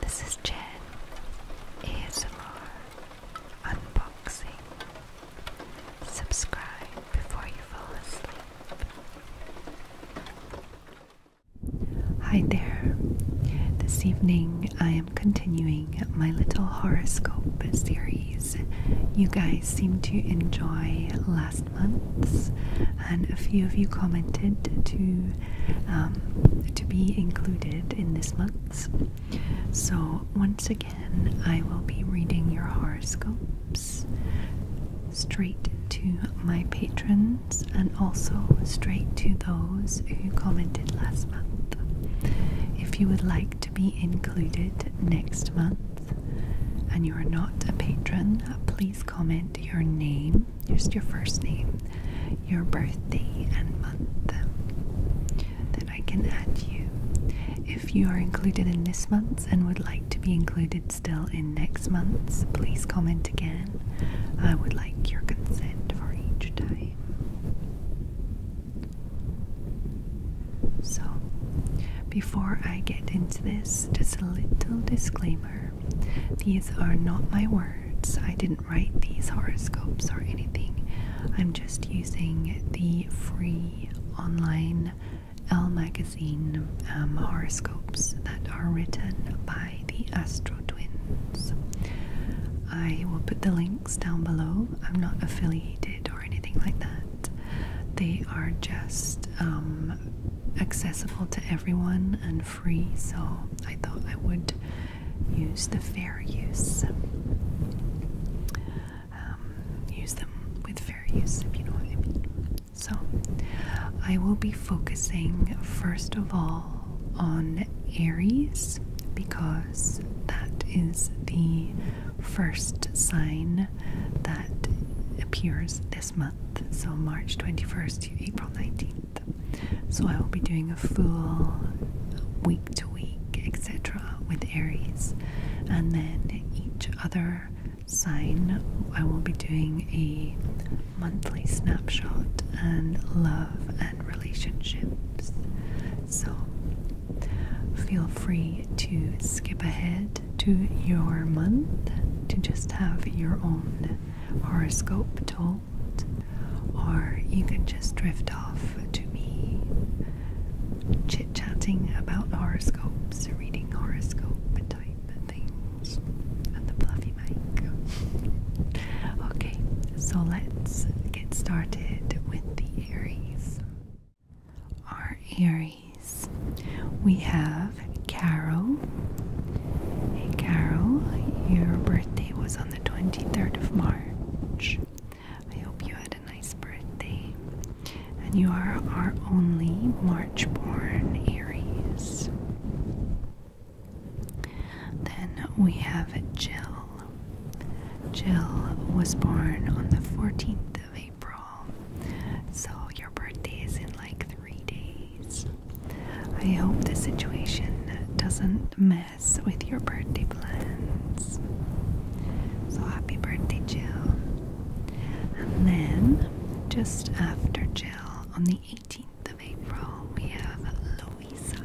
This is Jen ASMR Unboxing. Subscribe before you fall asleep. Hi there. This evening I am continuing my little horoscope series. You guys seem to enjoy last month's, and a few of you commented to um, to be included in this month, So, once again, I will be reading your horoscopes straight to my patrons and also straight to those who commented last month. If you would like to be included next month and you are not a patron, please comment your name just your first name, your birthday, and month. Then I can add you. If you are included in this month and would like to be included still in next month's, please comment again. I would like your consent for each time. So, before I get into this, just a little disclaimer these are not my words. I didn't write these horoscopes or anything. I'm just using the free online L Magazine um, horoscopes that are written by the Astro Twins. I will put the links down below. I'm not affiliated or anything like that. They are just um, accessible to everyone and free, so I thought I would use the fair use. Um, use them with fair use, if you know what I mean. So, I will be focusing first of all on Aries because that is the first sign that appears this month. So, March 21st to April 19th. So I will be doing a full week to week, etc., with Aries, and then each other sign I will be doing a monthly snapshot and love and relationships. So feel free to skip ahead to your month to just have your own horoscope told or you can just drift off to me chit chatting about horoscopes, reading horoscope type things on the fluffy mic. okay, so let's get started with the Aries. Our Aries, we have Carol Hey Carol, your birthday was on the 23rd of March. I hope you had a nice birthday. And you are our only March born Aries. Then we have Jill. Jill was born on the 14th of April. So your birthday is in like three days. I hope the situation doesn't mess with your birthday plans. So happy birthday, Jill. And then, just after Jill, on the 18th of April, we have Louisa.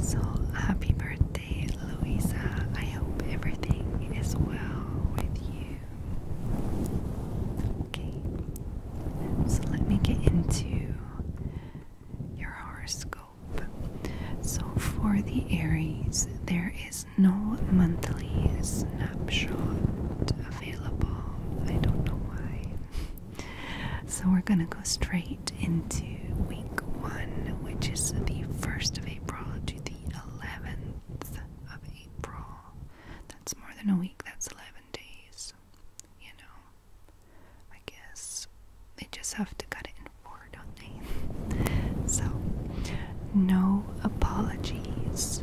So happy birthday, Louisa. I hope everything is well with you. Okay, so let me get into your horoscope. So, for the Aries, there is no monthly snapshot available. I don't know why. So, we're going to go straight into week one, which is the 1st of April to the 11th of April. That's more than a week, that's 11 days, you know. I guess they just have to cut it in four, don't they? so, no apologies.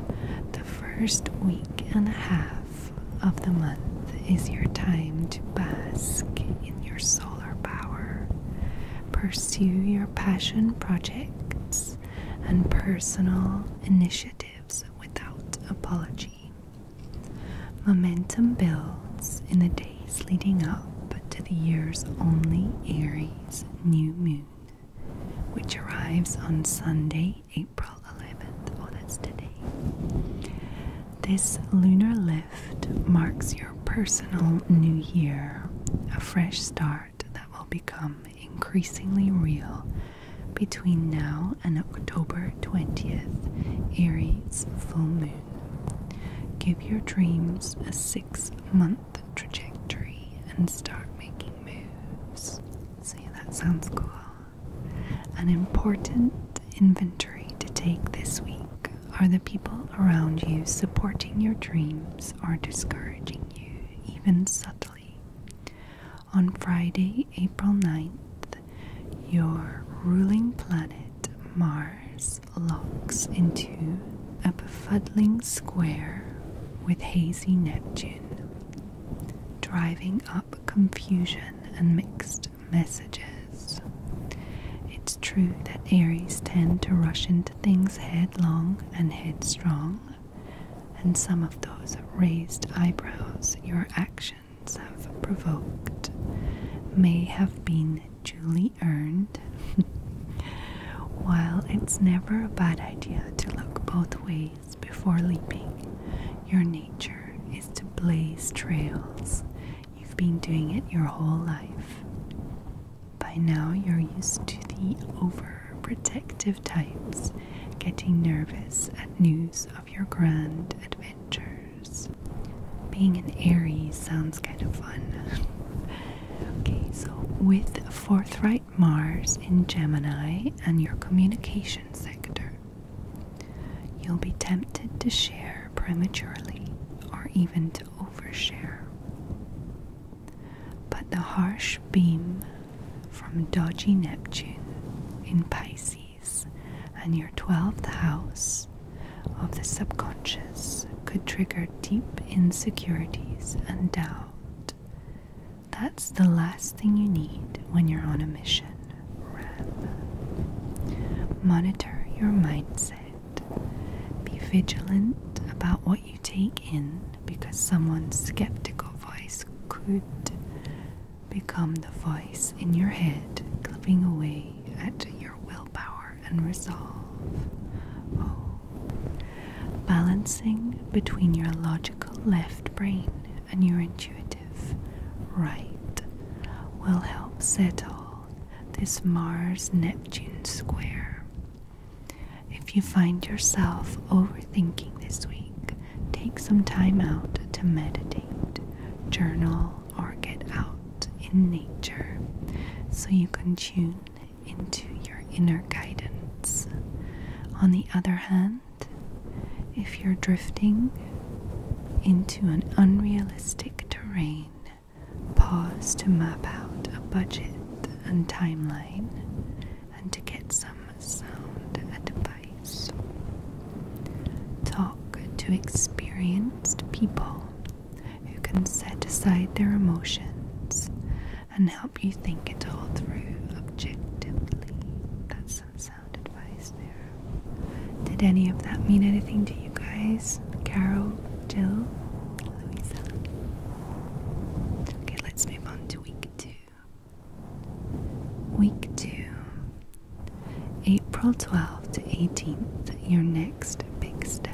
The first week and a half of the month is your time to bask in your solar power, pursue your passion projects and personal initiatives without apology. Momentum builds in the days leading up to the year's only Aries new moon, which arrives on Sunday, April 11th. Oh, that's today. This lunar lift marks your personal new year, a fresh start that will become increasingly real between now and October 20th, Aries full moon. Give your dreams a six month trajectory and start making moves. See, that sounds cool. An important inventory to take this week are the people around you supporting your dreams or discouraging you, even subtly. On Friday, April 9th, your ruling planet Mars locks into a befuddling square with hazy Neptune, driving up confusion and mixed messages. It's true that Aries tend to rush into things headlong and headstrong, and some of those raised eyebrows your actions have provoked may have been duly earned. While it's never a bad idea to look both ways before leaping, your nature is to blaze trails. You've been doing it your whole life. By now, you're used to the overprotective types getting nervous at news of your grand adventures. Being an Aries sounds kind of fun. okay, so with forthright Mars in Gemini and your communication sector, you'll be tempted to share prematurely or even to overshare. But the harsh beam from dodgy Neptune in Pisces and your 12th house of the subconscious could trigger deep insecurities and doubt. That's the last thing you need when you're on a mission, Ram. Monitor your mindset. Be vigilant about what you take in because someone's skeptical voice could become the voice in your head, clipping away at your willpower and resolve. Oh. Balancing between your logical left brain and your intuitive right will help settle this Mars Neptune square. If you find yourself overthinking this week, take some time out to meditate, journal, or get out in nature so you can tune into your inner guidance. On the other hand, if you're drifting into an unrealistic terrain, pause to map out a budget and timeline and to get some sound advice. Talk to experienced people who can set aside their emotions and help you think it all through objectively. That's some sound advice there. Did any of that mean anything to you guys? Carol, Jill, Louisa? Okay, let's move on to week two. Week two April 12th to 18th, your next big step.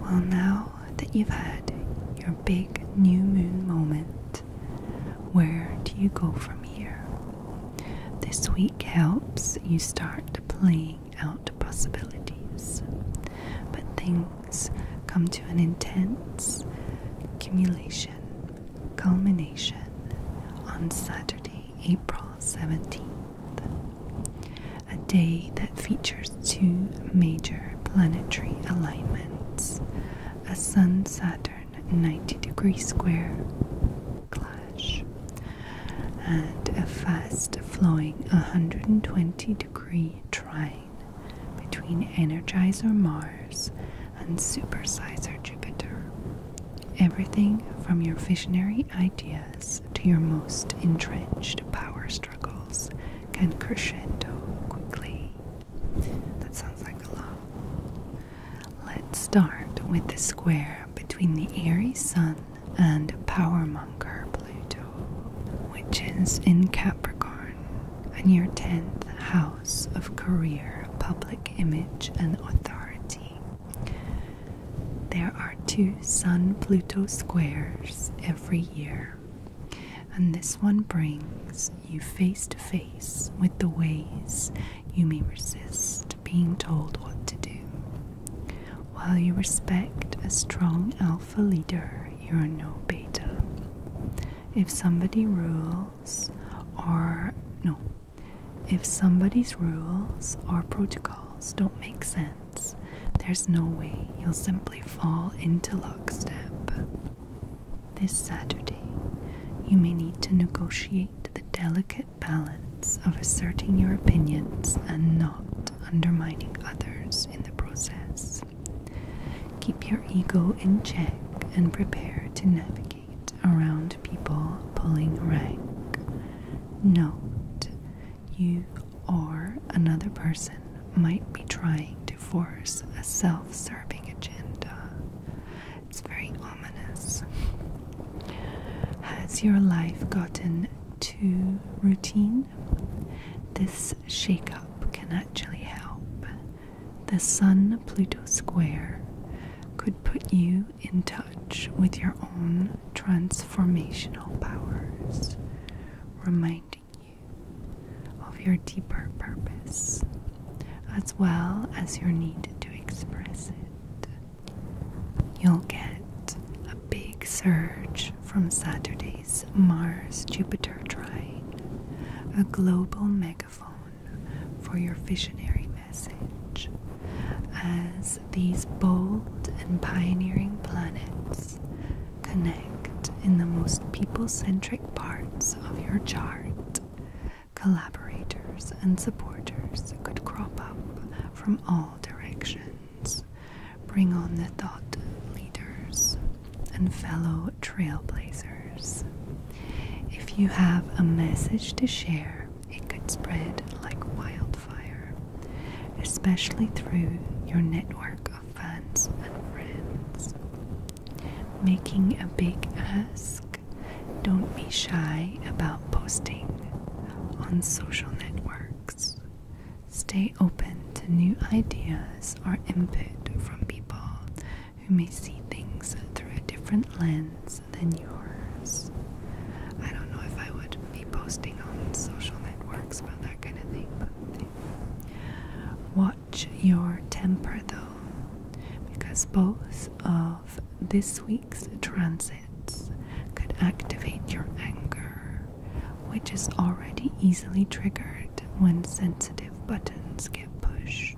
Well, now that you've had your big new moon moment, where do you go from here? This week helps you start playing out possibilities, but things come to an intense accumulation, culmination on Saturday. April 17th, a day that features two major planetary alignments a Sun Saturn 90 degree square clash and a fast flowing 120 degree trine between Energizer Mars and supersize our Jupiter. Everything from your visionary ideas to your most entrenched power struggles can crescendo quickly. That sounds like a lot. Let's start with the square between the Aries Sun and Powermonger Pluto, which is in Capricorn, and your 10th house of career, public image, and authority. There are two Sun Pluto squares every year, and this one brings you face to face with the ways you may resist being told what to do. While you respect a strong alpha leader, you're no beta. If somebody rules, or no, if somebody's rules or protocols don't make sense, there's no way you'll simply fall into lockstep. This Saturday, you may need to negotiate the delicate balance of asserting your opinions and not undermining others in the process. Keep your ego in check and prepare to navigate around people pulling rank. Note, you or another person might be trying to force a self serving agenda. It's very ominous. Has your life gotten too routine? This shake up can actually help. The Sun Pluto square could put you in touch with your own transformational powers, reminding you of your deeper purpose as well as your need to express it. You'll get a big surge from Saturday's Mars Jupiter trine, a global mega megaphone for your visionary message, as these bold and pioneering planets connect in the most people centric parts of your chart. Collaborators and supporters could crop up from all directions. Bring on the thought leaders and fellow trailblazers. If you have a message to share, it could spread like wildfire, especially through your network of fans and friends. Making a big ask, don't be shy about posting on social networks. Stay open to new ideas or input from people who may see things through a different lens than yours. I don't know if I would be posting on social networks about that kind of thing, but watch your temper though, because both of this week's transits could activate your anger, which is already easily triggered when sensitive buttons get pushed.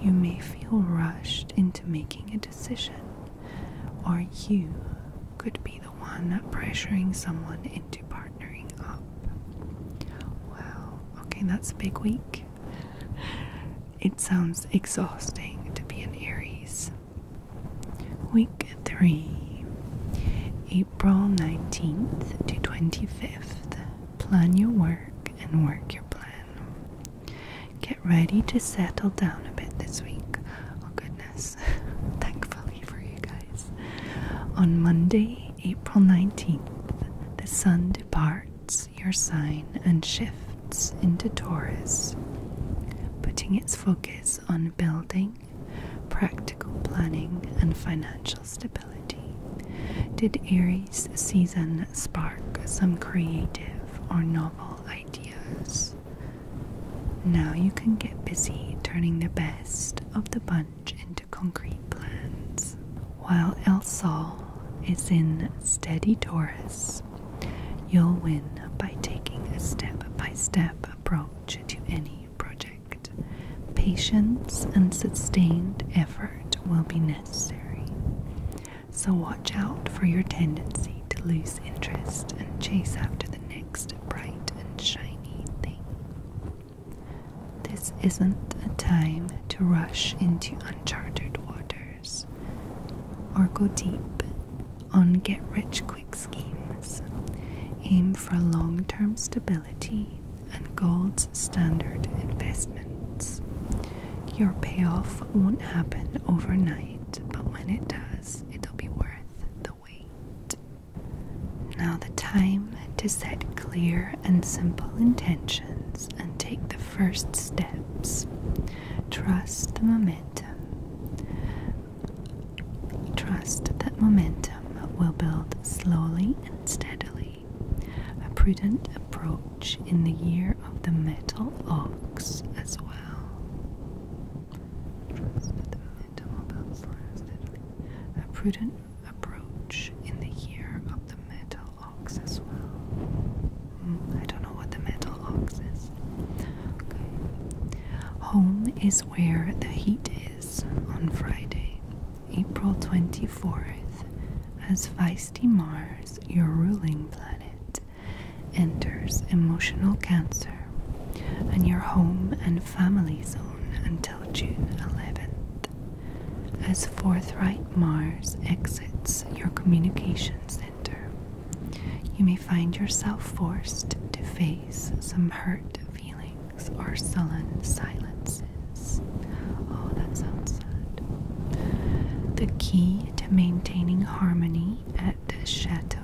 You may feel rushed into making a decision, or you could be the one pressuring someone into partnering up. Well, okay, that's a big week. It sounds exhausting to be an Aries. Week 3, April 19th to 25th. Plan your work and work your plan ready to settle down a bit this week. Oh, goodness. Thankfully for you guys. On Monday, April 19th, the sun departs your sign and shifts into Taurus, putting its focus on building, practical planning, and financial stability. Did Aries season spark some creative or novel now you can get busy turning the best of the bunch into concrete plans. While El Sol is in steady Taurus, you'll win by taking a step by step approach to any project. Patience and sustained effort will be necessary. So watch out for your tendency to lose interest and chase after the next bright and shiny thing. This isn't a time to rush into uncharted waters or go deep on get rich quick schemes. Aim for long term stability and gold's standard investments. Your payoff won't happen overnight but when it does, it'll be worth the wait. Now, the time to set clear and simple intentions and take the first steps. Trust the momentum. Trust that momentum will build slowly and steadily. A prudent approach in the year of the metal ox as well. A prudent approach in the year of the metal ox as well. Hmm, I don't know what the metal ox is. Home is where the heat is on Friday, April 24th, as Feisty Mars, your ruling planet, enters emotional cancer and your home and family zone until June 11th, as forthright Mars exits your communication center. You may find yourself forced to face some hurt feelings or sullen silences. Oh, that sounds sad. The key to maintaining harmony at the Chateau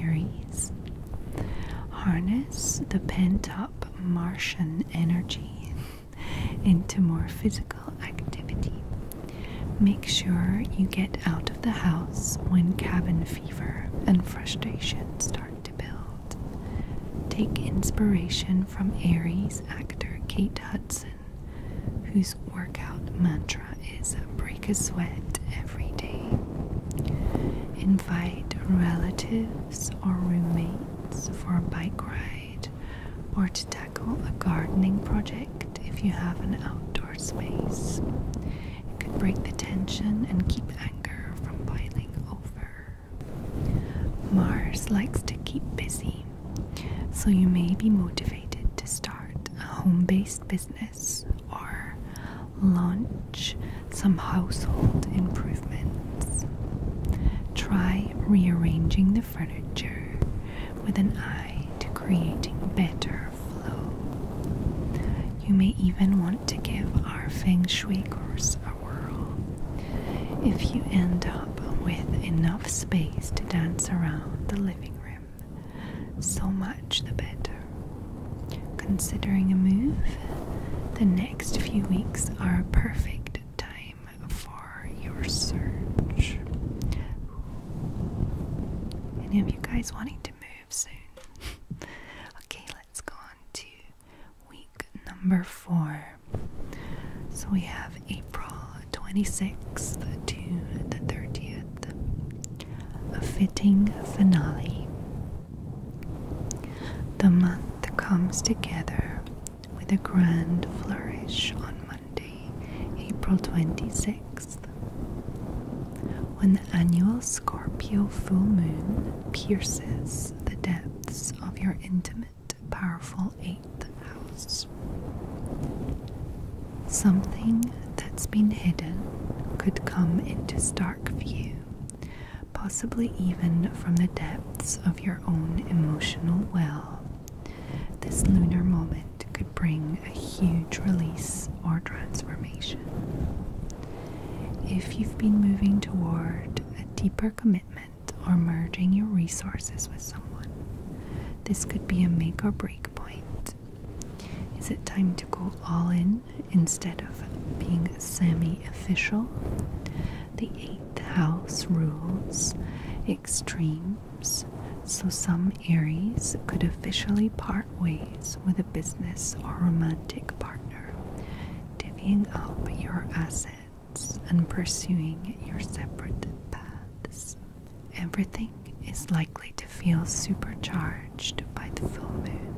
Aries. Harness the pent up Martian energy into more physical activity. Make sure you get out of the house when cabin fever and frustration start to build. Take inspiration from Aries actor Kate Hudson whose workout mantra is break a sweat every day. Invite relatives or roommates for a bike ride or to tackle a gardening project if you have an outdoor space. It could break the tension and keep anger from boiling over. Mars likes to keep busy, so you may be motivated to start a home based business or launch some household improvements. Try rearranging the furniture with an eye to creating better flow. You may even want to give our Feng Shui course a whirl. If you end up with enough space to dance around the living room, so much the better. Considering a move, the next few weeks are a perfect time for your search. Any of you guys wanting to move soon? okay, let's go on to week number four. So we have April 26th to the 30th, a fitting finale. The month comes together with a grand flourish on Monday, April 26th, when the annual Scorpio full moon pierces the depths of your intimate, powerful 8th house. Something that's been hidden could come into stark view, possibly even from the depths of your own emotional well. This lunar moment could bring a huge release or transformation. If you've been moving toward a deeper commitment or merging your resources with someone, this could be a make or break point is it time to go all in instead of being semi official? The eighth house rules extremes, so some Aries could officially part ways with a business or romantic partner, divvying up your assets and pursuing your separate paths. Everything is likely to feel supercharged by the full moon.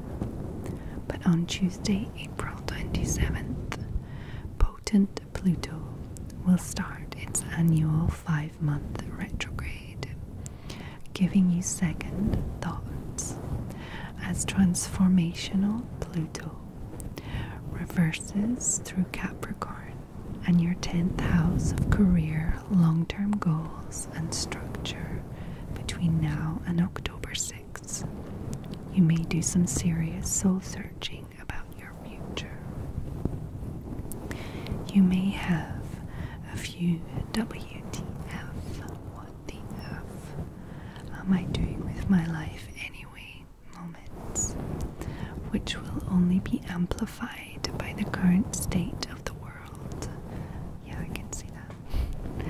But on Tuesday, April 27th, potent Pluto will start its annual five month retrograde, giving you second thoughts as transformational Pluto reverses through Capricorn and your 10th house of career, long term goals, and structure between now and October 6th. You may do some serious soul searching about your future. You may have a few WTF. What the F am I doing with my life anyway moments, which will only be amplified by the current state of the world. Yeah, I can see that.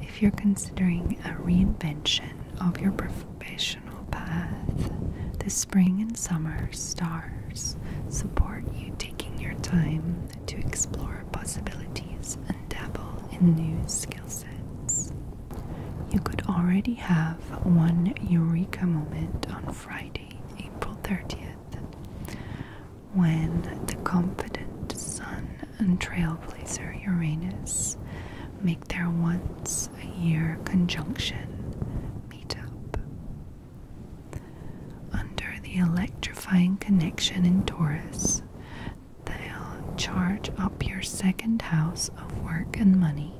If you're considering a reinvention of your professional path, the spring and summer stars support you taking your time to explore possibilities and dabble in new skill sets. You could already have one eureka moment on Friday, April 30th. When the confident Sun and trailblazer Uranus make their once a year conjunction meet up. Under the electrifying connection in Taurus, they'll charge up your second house of work and money.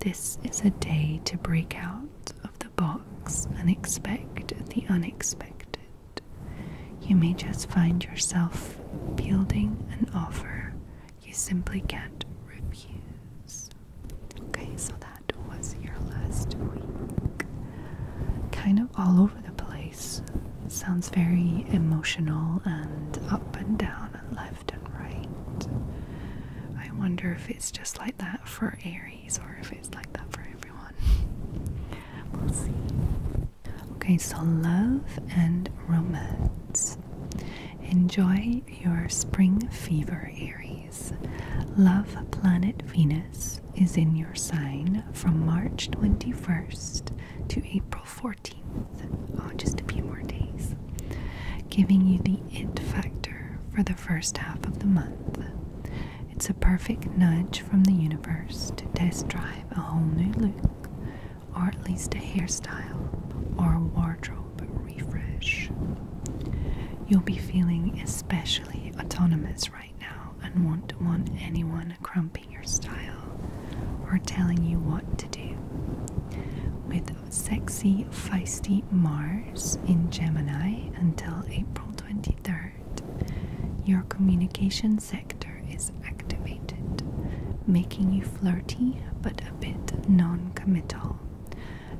This is a day to break out of the box and expect the unexpected. You may just find yourself building an offer you simply can't refuse. Okay, so that was your last week. Kind of all over the place. Sounds very emotional and up and down and left and right. I wonder if it's just like that for Aries or if it's like that for everyone. Okay, so love and romance. Enjoy your spring fever, Aries. Love planet Venus is in your sign from March 21st to April 14th. just a few more days. Giving you the it factor for the first half of the month. It's a perfect nudge from the universe to test drive a whole new look, or at least a hairstyle or a wardrobe refresh. You'll be feeling especially autonomous right now and won't want anyone cramping your style or telling you what to do. With sexy, feisty Mars in Gemini until April 23rd, your communication sector is activated, making you flirty but a bit non committal,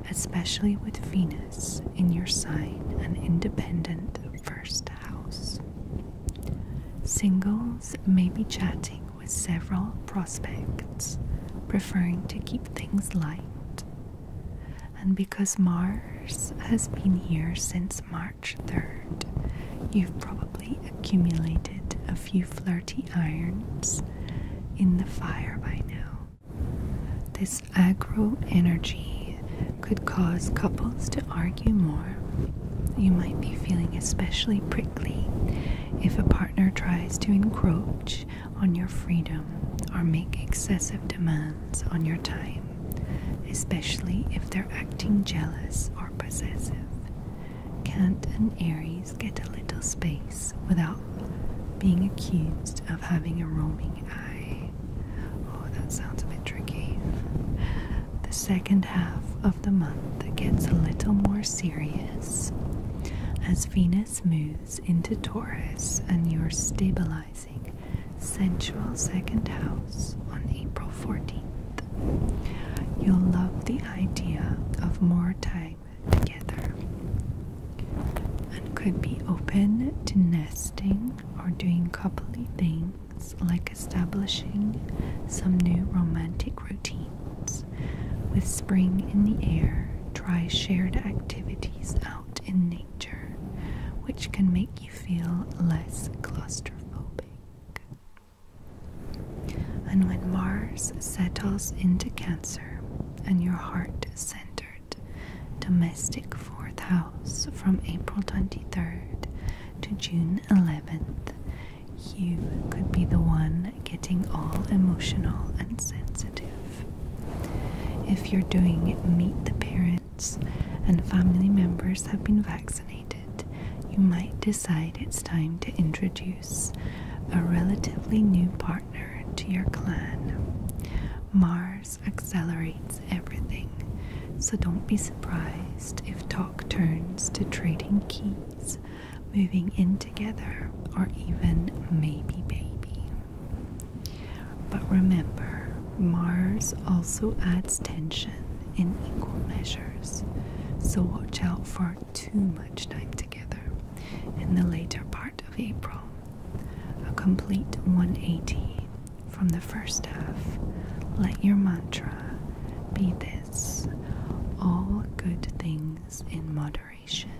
especially with Venus in your sign and independent first house. Singles may be chatting with several prospects, preferring to keep things light. And because Mars has been here since March 3rd, you've probably accumulated a few flirty irons in the fire by now. This agro energy could cause couples to argue more. You might be feeling especially prickly if a partner tries to encroach on your freedom or make excessive demands on your time, especially if they're acting jealous or possessive. Can't an Aries get a little space without being accused of having a roaming eye? Oh, that sounds a bit tricky. The second half of the month gets a little more serious as Venus moves into Taurus and you're stabilized sensual second house on April 14th. You'll love the idea of more time together and could be open to nesting or doing coupley things like establishing some new romantic routines. With spring in the air, try shared activities out in nature which can make you feel less claustrophobic. And when Mars settles into Cancer and your heart centered domestic fourth house from April 23rd to June 11th, you could be the one getting all emotional and sensitive. If you're doing meet the parents and family members have been vaccinated, you might decide it's time to introduce a relatively new partner to your clan. Mars accelerates everything, so don't be surprised if talk turns to trading keys, moving in together, or even maybe baby. But remember, Mars also adds tension in equal measures, so watch out for too much time together in the later part of April. A complete 180 from the first half. Let your mantra be this all good things in moderation.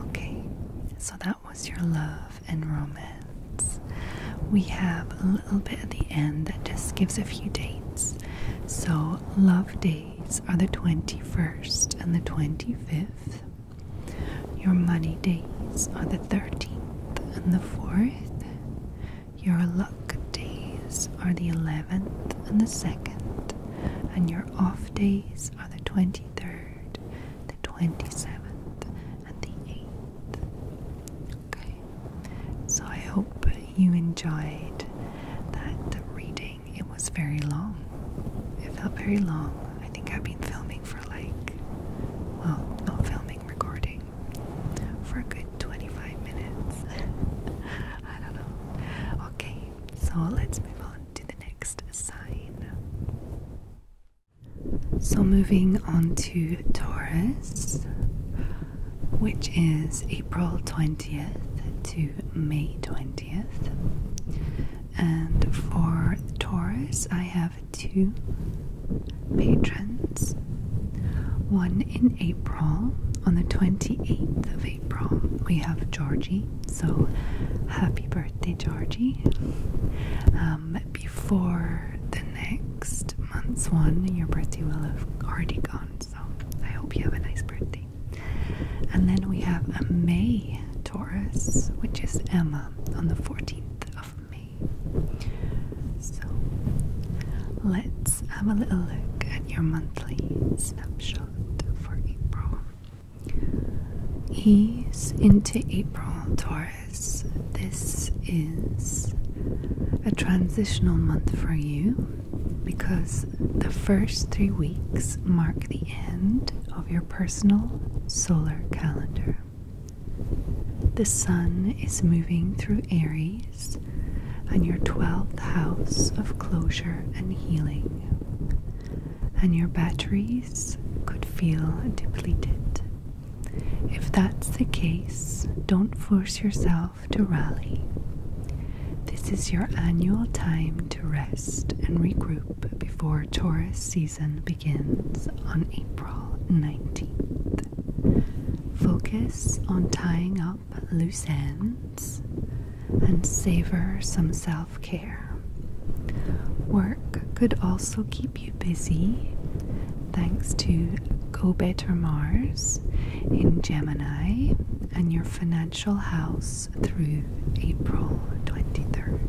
Okay, so that was your love and romance. We have a little bit at the end that just gives a few dates. So, love days are the 21st and the 25th. Your money days are the 13th and the 4th. Your luck days are the 11th and the 2nd. And your off days are the 20 23rd, the 27th, and the 8th. Okay, so I hope you enjoyed that reading. It was very long, it felt very long. I think I've been filming for like, well, not filming, recording for a good 25 minutes. I don't know. Okay, so let's move on to the next sign. So, moving on to Taurus, which is April 20th to May 20th. And for Taurus, I have two patrons one in April. On the 28th of April, we have Georgie, so happy birthday, Georgie. Um, before the next month's one, your birthday will have already gone. So I hope you have a nice birthday. And then we have a May Taurus, which is Emma on the 14th of May. So let's have a little look at your monthly snapshot for April. Ease into April, Taurus. This is a transitional month for you because the first three weeks mark the end of your personal solar calendar. The sun is moving through Aries and your 12th house of closure and healing and your batteries could feel depleted. If that's the case, don't force yourself to rally. This is your annual time to rest and regroup before tourist season begins on April 19th. Focus on tying up loose ends and savor some self care. Work could also keep you busy thanks to Go Better Mars in Gemini and your financial house through April 23rd.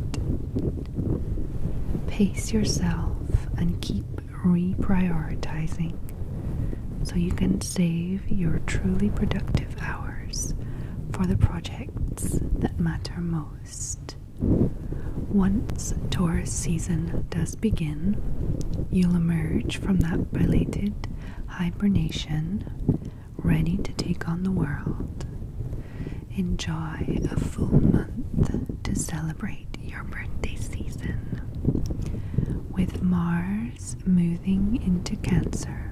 Pace yourself and keep reprioritizing so you can save your truly productive hours for the project that matter most. Once Taurus season does begin, you'll emerge from that belated hibernation ready to take on the world. Enjoy a full month to celebrate your birthday season. With Mars moving into Cancer,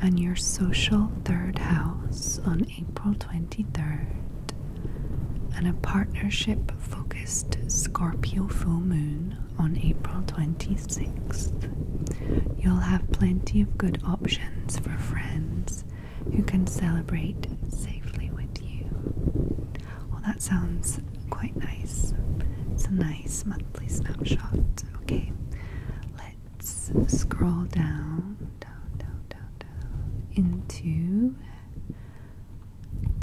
and your social third house on April 23rd, and a partnership focused Scorpio full moon on April 26th. You'll have plenty of good options for friends who can celebrate safely with you. Well, that sounds quite nice. It's a nice monthly snapshot. Okay, let's scroll down, down, down, down, down into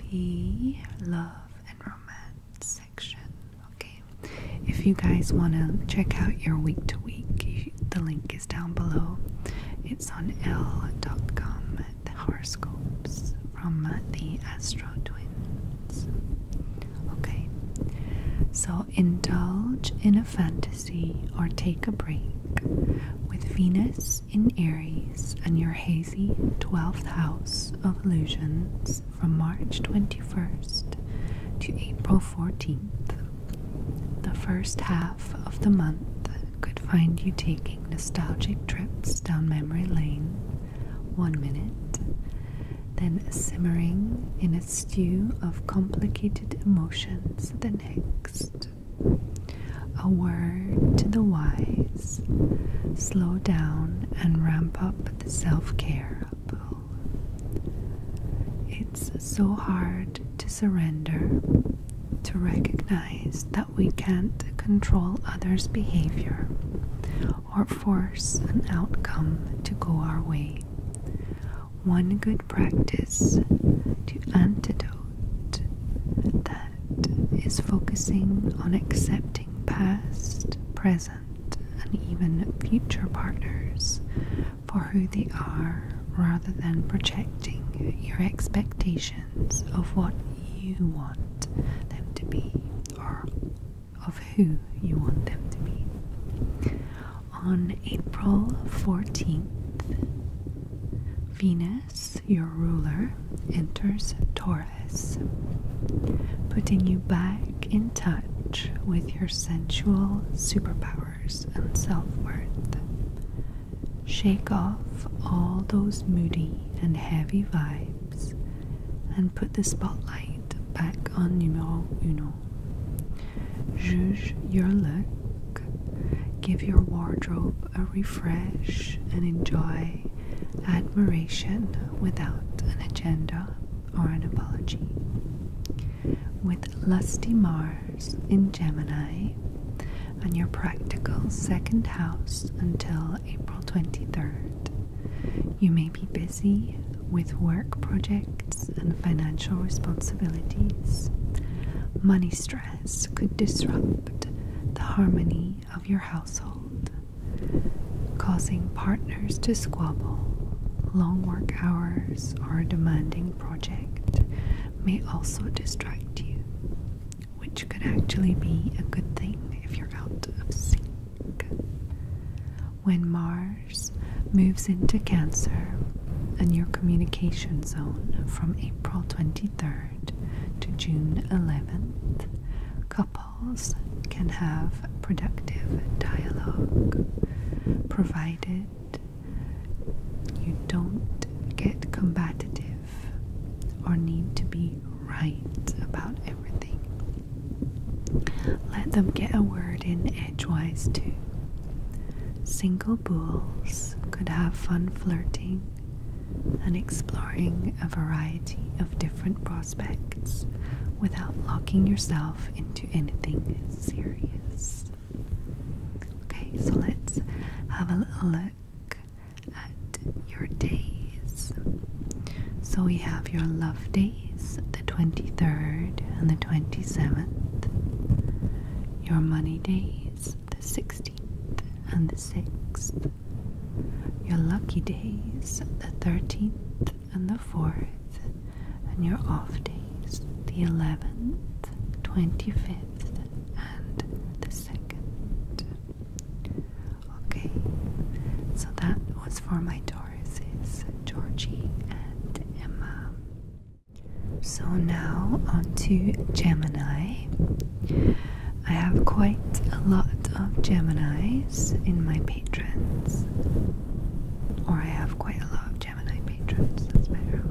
the love and romance section. Okay, if you guys want to check out your week to week, the link is down below. It's on l.com, the horoscopes from the Astro Twins. Okay, so indulge in a fantasy or take a break with Venus in Aries and your hazy 12th house of illusions from March 21st to April 14th. The first half of the month could find you taking nostalgic trips down memory lane one minute, then simmering in a stew of complicated emotions the next. A word to the wise. Slow down and ramp up the self care It's so hard to surrender, to recognize that we can't control others' behavior or force an outcome to go our way one good practice to antidote that is focusing on accepting past, present, and even future partners for who they are rather than projecting your expectations of what you want them to be or of who you want them to be on April 14th, Venus, your ruler, enters Taurus, putting you back in touch with your sensual superpowers and self worth. Shake off all those moody and heavy vibes and put the spotlight back on numero uno. Judge your look, give your wardrobe a refresh, and enjoy admiration without an agenda or an apology. With lusty Mars in Gemini and your practical second house until April 23rd, you may be busy with work projects and financial responsibilities, money stress could disrupt the harmony of your household, causing partners to squabble. Long work hours or a demanding project may also distract you, which could actually be a good thing if you're out of sync. When Mars moves into Cancer and your communication zone from April 23rd to June 11th. Couples can have productive dialogue provided you don't get combative or need to be right about everything. Let them get a word in edgewise too. Single bulls could have fun flirting and exploring a variety of different prospects without locking yourself into anything serious. Okay, so let's have a little look at your days. So we have your love days, the 23rd and the 27th. Your money days, the 16th and the 6th. Your lucky days, the 13th and the 4th. And your off days, the 11th, 25th, and the 2nd. Okay, so that was for my Tauruses, Georgie and Emma. So now on to Gemini. I have quite a lot of Geminis in my patrons. Or I have quite a lot of Gemini patrons, that's better.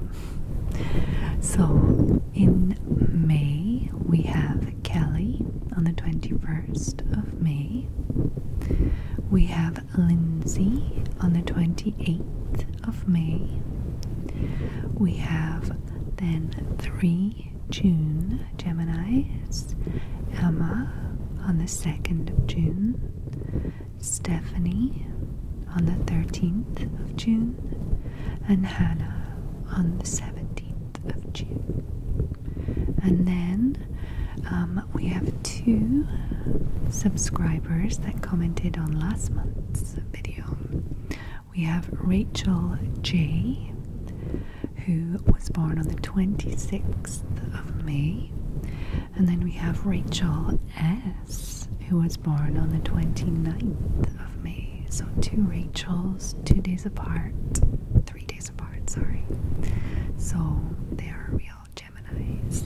So in May we have Kelly on the 21st of May. We have with Lindsay on the 28th of May. We have then 3 June Gemini's, Emma on the 2nd of June, Stephanie on the 13th of June, and Hannah on the 17th of June. And then um, we have two subscribers that commented on last month's video. We have Rachel J, who was born on the 26th of May, and then we have Rachel S, who was born on the 29th of May. So, two Rachels, two days apart, three days apart, sorry. So, they are real Geminis.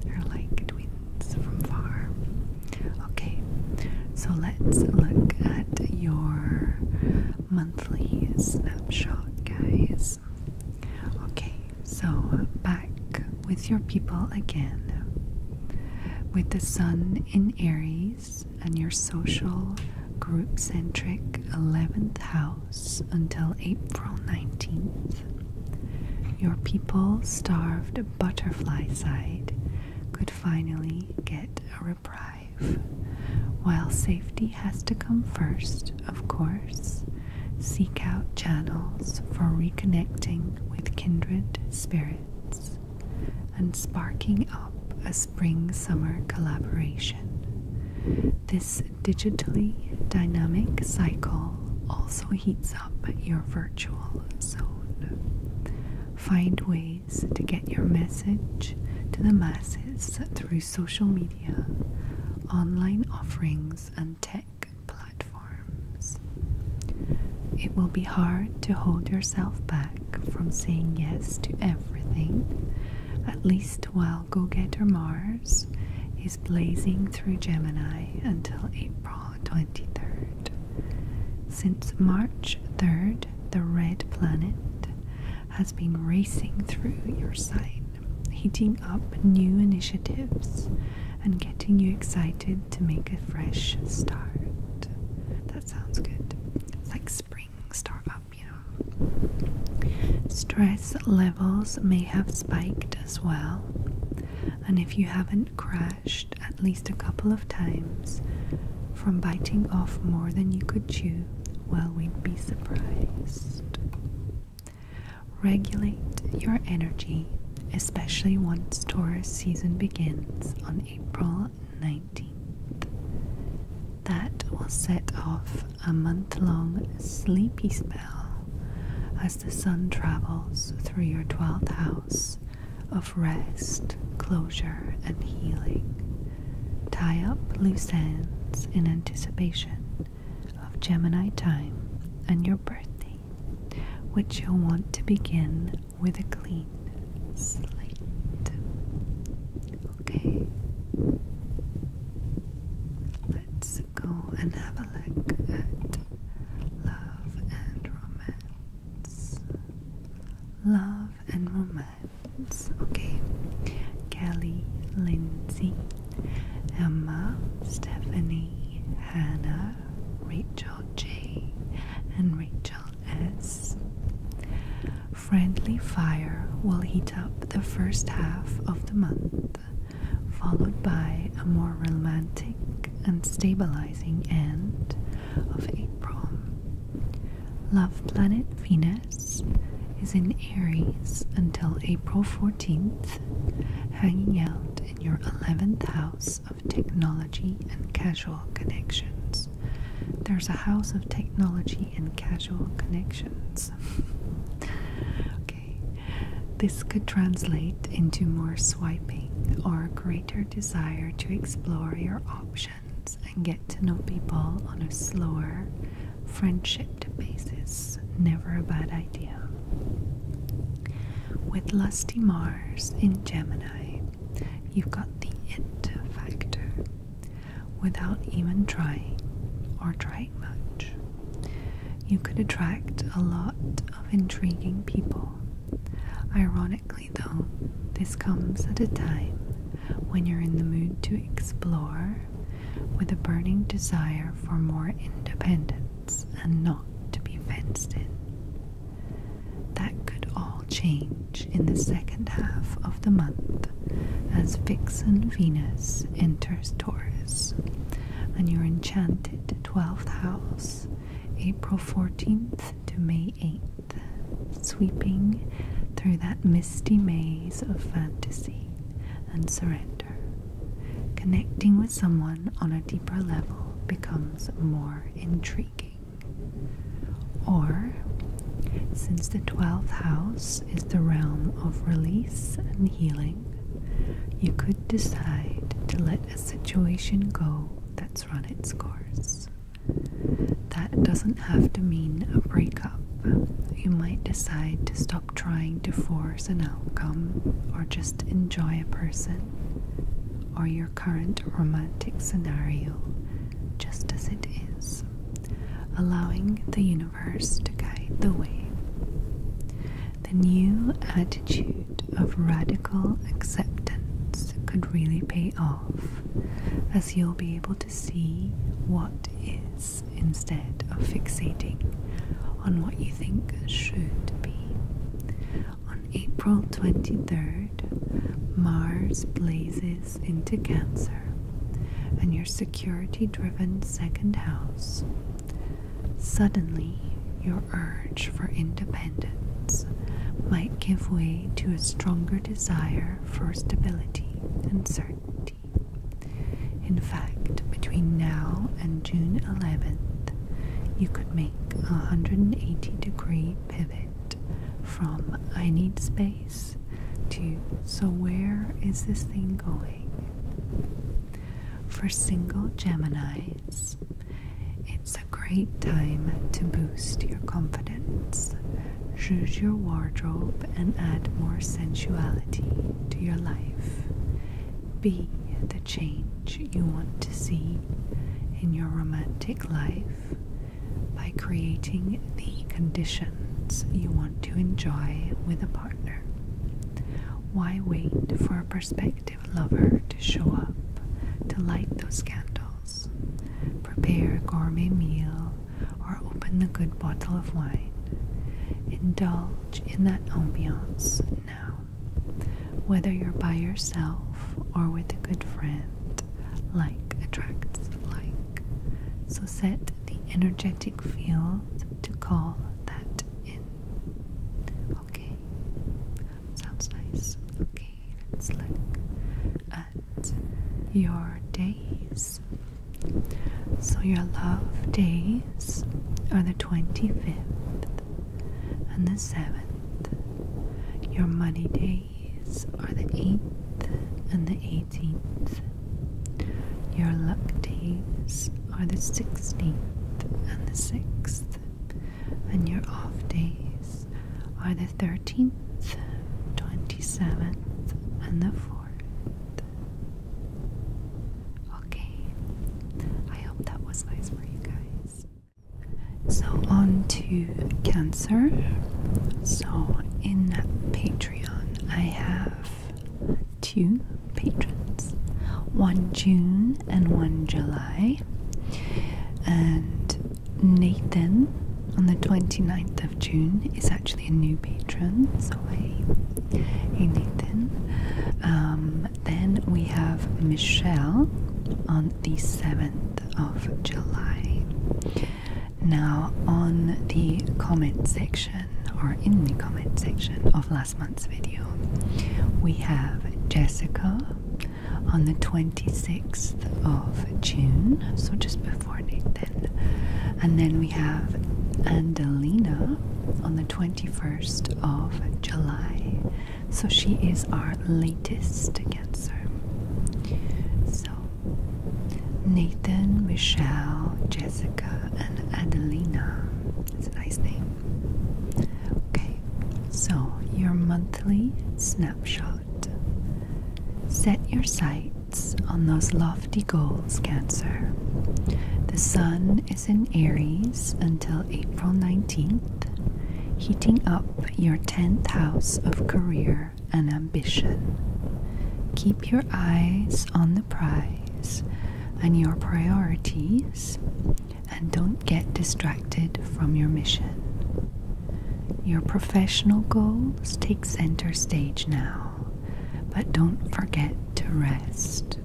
They're like twins from far. Okay, so let's look at your monthly snapshot, guys. Okay, so back with your people again. With the sun in Aries and your social group centric 11th house until April 19th, your people starved butterfly side could finally get a reprieve. While safety has to come first, of course, seek out channels for reconnecting with kindred spirits and sparking up a spring summer collaboration. This digitally dynamic cycle also heats up up your virtual zone. Find ways to get your message to the masses through social media, online offerings, and tech platforms. It will be hard to hold yourself back from saying yes to everything, at least while Go Getter Mars is blazing through Gemini until April. 23rd. Since March 3rd, the red planet has been racing through your sign, heating up new initiatives and getting you excited to make a fresh start. That sounds good. It's like spring start you know. Stress levels may have spiked as well and if you haven't crashed at least a couple of times from biting off more than you could chew, well, we'd be surprised. Regulate your energy, especially once Taurus season begins on April 19th. That will set off a month long sleepy spell the sun travels through your 12th house of rest, closure, and healing. Tie up loose ends in anticipation of Gemini time and your birthday, which you'll want to begin with a clean slate. Okay, let's go and have a look at love and romance. Love and romance. Okay. Kelly, Lindsay, Emma, Stephanie, Hannah, Rachel J, and Rachel S. Friendly fire will heat up the first half of the month followed by a more romantic and stabilizing end of April. Love planet Venus is in Aries until April 14th, hanging out in your 11th house of technology and casual connections. There's a house of technology and casual connections this could translate into more swiping or greater desire to explore your options and get to know people on a slower friendship basis. Never a bad idea. With Lusty Mars in Gemini, you've got the it factor. Without even trying or trying much, you could attract a lot of intriguing people. Ironically, though, this comes at a time when you're in the mood to explore with a burning desire for more independence and not to be fenced in. That could all change in the second half of the month as Vixen Venus enters Taurus and your enchanted 12th house April 14th to May 8th, sweeping through that misty maze of fantasy and surrender. Connecting with someone on a deeper level becomes more intriguing. Or, since the 12th house is the realm of release and healing, you could decide to let a situation go that's run its course. That doesn't have to mean a breakup. You might decide to stop trying to force an outcome or just enjoy a person or your current romantic scenario just as it is, allowing the universe to guide the way the new attitude of radical acceptance could really pay off, as you'll be able to see what is instead of fixating on what you think should be. On April 23rd, Mars blazes into Cancer and your security driven second house. Suddenly, your urge for independence might give way to a stronger desire for stability and certainty. In fact, between now and June 11th, you could make a 180 degree pivot from I need space to so where is this thing going? For single Geminis, it's a great time to boost your confidence. Choose your wardrobe and add more sensuality to your life. Be the change you want to see in your romantic life by creating the conditions you want to enjoy with a partner. Why wait for a perspective? Love her to show up to light those candles, prepare a gourmet meal, or open the good bottle of wine. Indulge in that ambiance now. Whether you're by yourself or with a good friend, like attracts like. So set the energetic field to call that in. Okay, sounds nice. Okay, let's look at your days. So, your love days are the 25th and the 7th. Your money days are the 8th and the 18th. Your luck days are the 16th and the 6th and your off days are the 13th, 27th, and the 4th. Okay, I hope that was nice for you guys. So, on to Cancer. So, in Patreon, I have two patrons one June and one July and Nathan on the 29th of June is actually a new patron. So hey, Nathan. Um, then we have Michelle on the 7th of July. Now, on the comment section or in the comment section of last month's video, we have Jessica on the 26th of June, so just before Nathan. And then we have Andelina on the 21st of July. So she is our latest Cancer. So Nathan, Michelle, Jessica, and Adelina. That's a nice name. Okay, so your monthly snapshot. Set your sights on those lofty goals, Cancer. The Sun is in Aries until April 19th, heating up your 10th house of career and ambition. Keep your eyes on the prize and your priorities and don't get distracted from your mission. Your professional goals take center stage now, but don't forget to rest.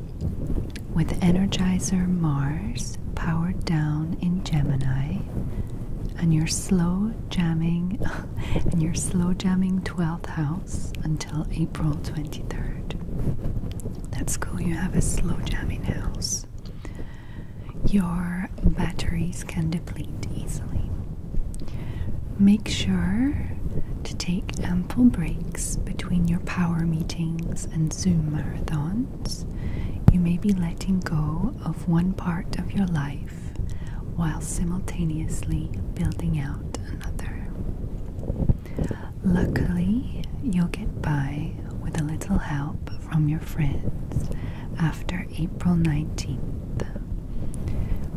With Energizer Mars powered down in Gemini and your slow jamming and your slow jamming 12th house until April 23rd. That's cool, you have a slow jamming house your batteries can deplete easily. Make sure to take ample breaks between your power meetings and Zoom marathons. You may be letting go of one part of your life while simultaneously building out another. Luckily, you'll get by with a little help from your friends after April 19th.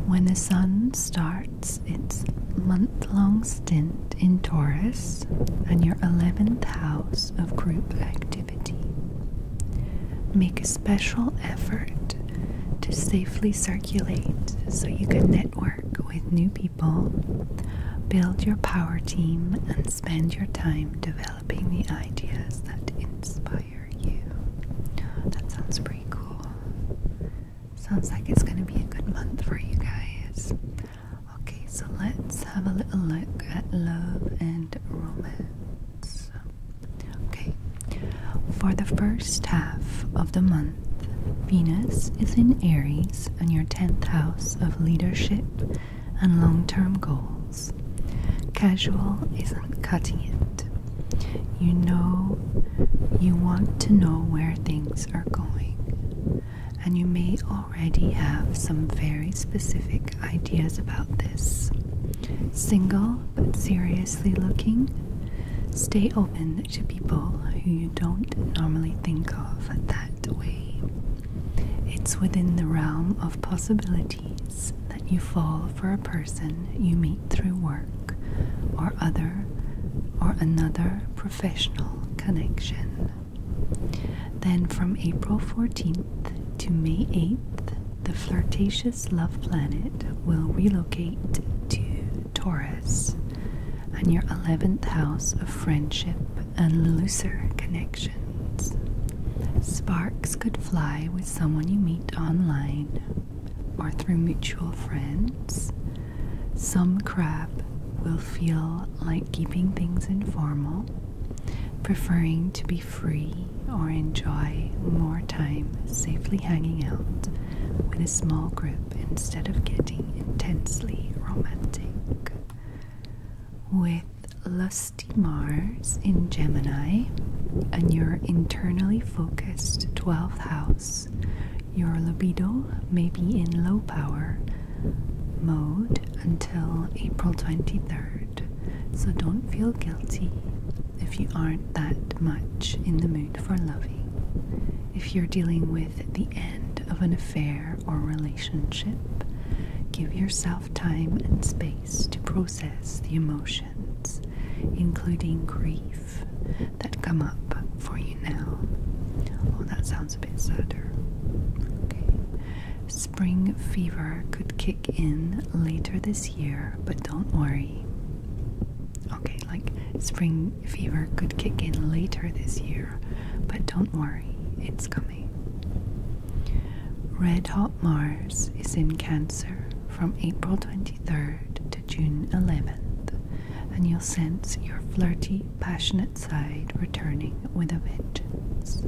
When the sun starts its month long stint in Taurus and your 11th house of group activity, make a special effort to safely circulate so you can network with new people, build your power team, and spend your time developing the ideas that inspire you. That sounds pretty cool. Sounds like it's going to be a good month for you guys. Okay, so let's have a little look at love and romance. Okay, for the first half of the month, Venus is in Aries in your 10th house of leadership and long term goals. Casual isn't cutting it. You know, you want to know where things are going, and you may already have some very specific ideas about this. Single but seriously looking, stay open to people who you don't normally think of at that way, it's within the realm of possibilities that you fall for a person you meet through work or other or another professional connection. Then from April 14th to May 8th, the flirtatious love planet will relocate to Taurus and your 11th house of friendship and looser connection. Sparks could fly with someone you meet online or through mutual friends. Some crab will feel like keeping things informal, preferring to be free or enjoy more time safely hanging out with a small group instead of getting intensely romantic. With Lusty Mars in Gemini and your internally focused 12th house, your libido may be in low power mode until April 23rd. So don't feel guilty if you aren't that much in the mood for loving. If you're dealing with the end of an affair or relationship, give yourself time and space to process the emotions, including grief, that come up for you now. Oh, that sounds a bit sadder. Okay. Spring fever could kick in later this year, but don't worry. Okay, like spring fever could kick in later this year, but don't worry, it's coming. Red Hot Mars is in Cancer from April 23rd to June 11th, and you'll sense your flirty, passionate side returning with a vengeance.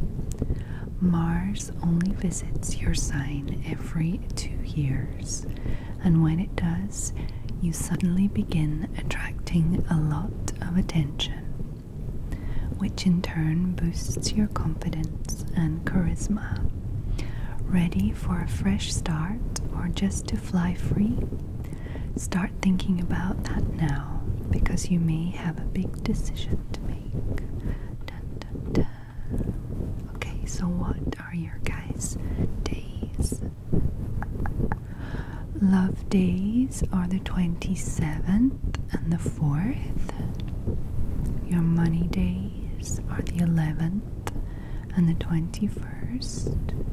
Mars only visits your sign every two years, and when it does, you suddenly begin attracting a lot of attention which in turn boosts your confidence and charisma. Ready for a fresh start or just to fly free? Start thinking about that now because you may have a big decision to make. Okay, so what are your guys' days? Love days days are the 27th and the 4th. Your money days are the 11th and the 21st.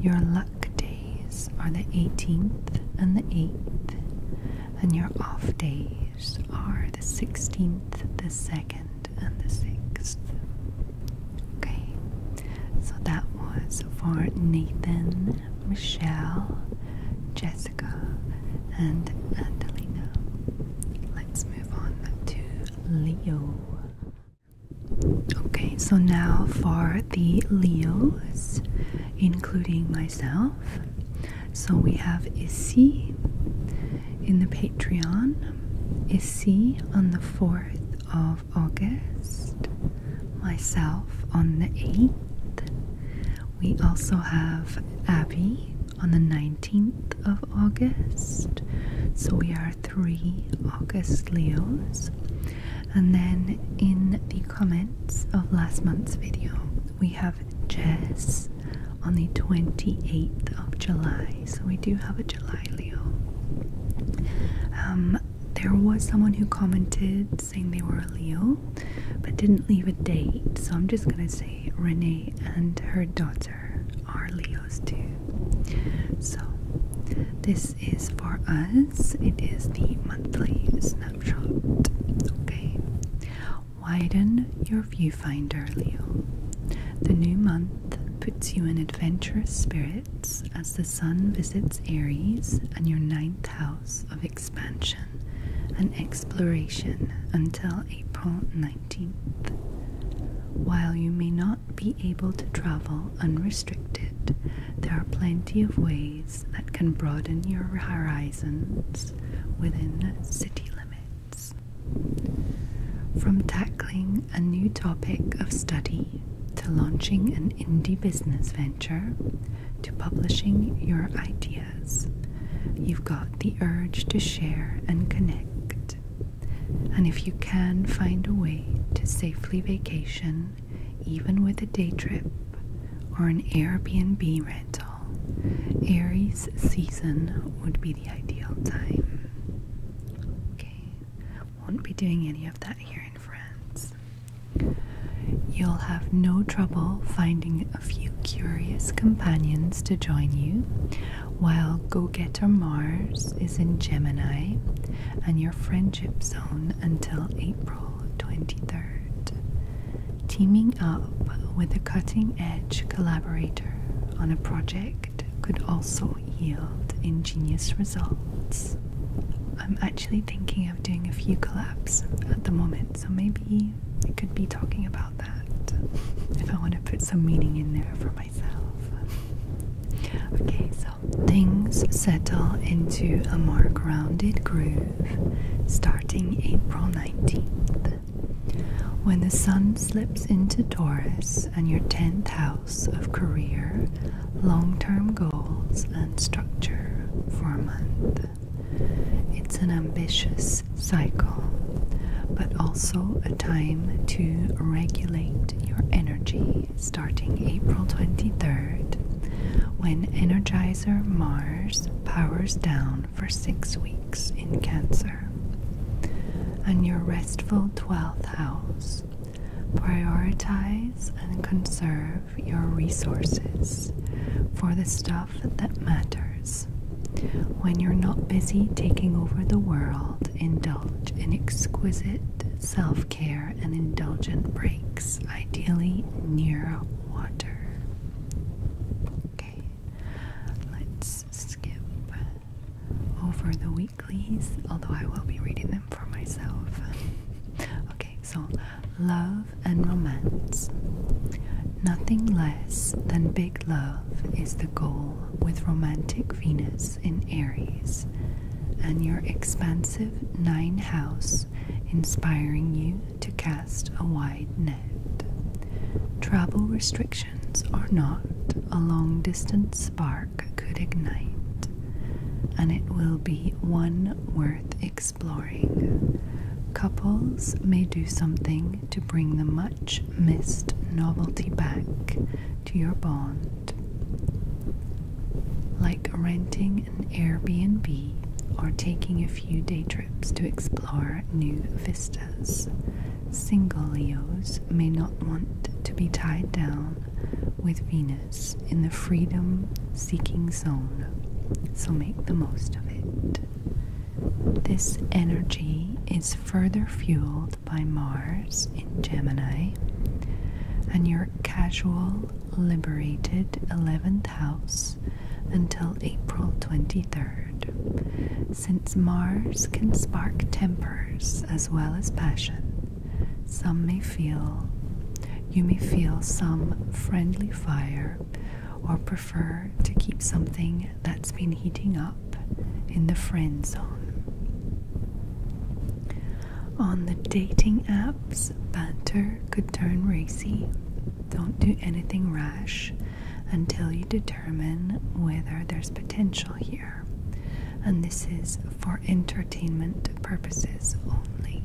Your luck days are the 18th and the 8th. And your off days are the 16th, the 2nd, and the 6th. Okay, so that was for Nathan. Michelle, Jessica, and Angelina. Let's move on to Leo. Okay, so now for the Leos, including myself. So we have Issy in the Patreon, Issy on the 4th of August, myself on the 8th, we also have Abby on the 19th of August. So we are three August Leos. And then in the comments of last month's video, we have Jess on the 28th of July. So we do have a July Leo. Um, there was someone who commented saying they were a Leo, but didn't leave a date. So I'm just gonna say Renee and her daughter are Leos too. So this is for us, it is the monthly snapshot. Okay. Widen your viewfinder, Leo. The new month puts you in adventurous spirits as the sun visits Aries and your ninth house of expansion and exploration until April 19th. While you may not be able to travel unrestricted, there are plenty of ways that can broaden your horizons within city limits. From tackling a new topic of study to launching an indie business venture, to publishing your ideas. You've got the urge to share and connect. And if you can find a way to safely vacation, even with a day trip or an Airbnb rental, Aries season would be the ideal time. Okay, won't be doing any of that here in France. You'll have no trouble finding a few curious companions to join you, while Go Getter Mars is in Gemini and your friendship zone until April 23rd, teaming up with a cutting edge collaborator on a project could also yield ingenious results. I'm actually thinking thinking of doing a few collabs at the moment, so maybe I could be talking about that if I want to put some meaning in there for myself. Okay, so things settle into a more rounded groove starting April 19th. When the sun slips into Taurus and your 10th house of career, long term goals, and structure for a month. It's an ambitious cycle, but also a time to regulate your energy starting April 23rd when Energizer Mars powers down for six weeks in Cancer. And your restful 12th house. Prioritize and conserve your resources for the stuff that matters. When you're not busy taking over the world, indulge in exquisite self care and indulgent breaks, ideally near water. Okay, let's skip over the weeklies, although I will be reading them for myself. okay so love and romance. Nothing less than big love is the goal with romantic Venus in Aries and your expansive nine house inspiring you to cast a wide net. Travel restrictions or not, a long distance spark could ignite, and it will be one worth experiencing exploring. Couples may do something to bring the much missed novelty back to your bond, like renting an Airbnb or taking a few day trips to explore new vistas. Single Leos may not want to be tied down with Venus in the freedom seeking zone, so make the most of it. This energy is further fueled by Mars in Gemini and your casual, liberated 11th house until April 23rd, since Mars can spark tempers as well as passion. Some may feel, you may feel some friendly fire or prefer to keep something that's been heating up in the friend zone. On the dating apps, banter could turn racy. Don't do anything rash until you determine whether there's potential here. And this is for entertainment purposes only.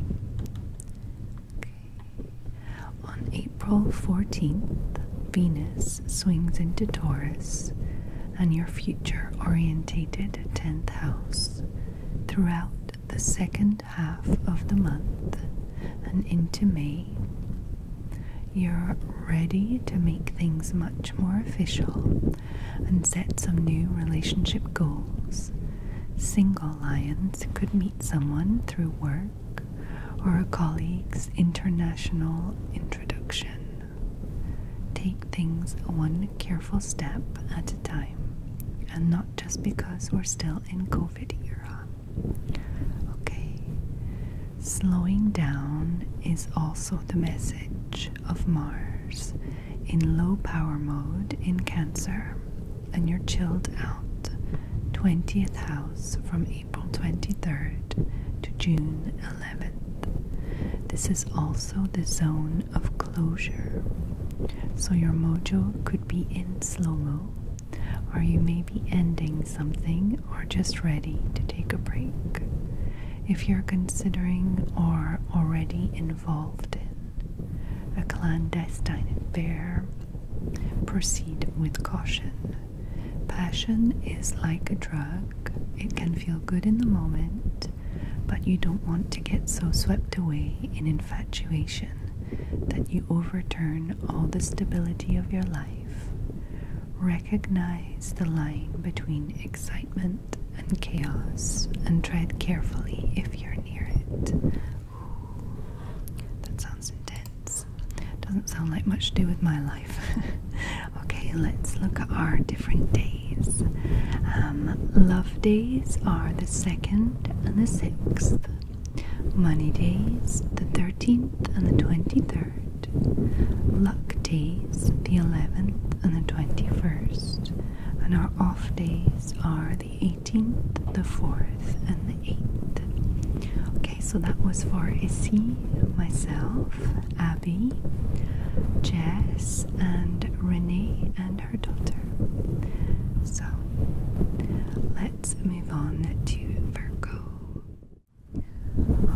On April 14th, Venus swings into Taurus and your future orientated 10th house throughout the second half of the month and into May. You're ready to make things much more official and set some new relationship goals. Single lions could meet someone through work or a colleague's international introduction. Take things one careful step at a time, and not just because we're still in COVID era. Okay, slowing down is also the message of Mars in low power mode in Cancer and you're chilled out. 20th house from April 23rd to June 11th. This is also the zone of closure. So your mojo could be in slow mo, or you may be ending something or just ready to take a break. If you're considering or already involved in a clandestine affair, Proceed with caution. Passion is like a drug, it can feel good in the moment, but you don't want to get so swept away in infatuation that you overturn all the stability of your life. Recognize the line between excitement and chaos and tread carefully if you're near it. That sounds intense. Doesn't sound like much to do with my life. okay, let's look at our different days. Um, love days are the 2nd and the 6th. Money days, the 13th and the 23rd. Luck days, the 11th and the 21st. And our off days are the eighth the 4th, and the 8th. Okay, so that was for Issy, myself, Abby, Jess, and Renee and her daughter. So let's move on to Virgo.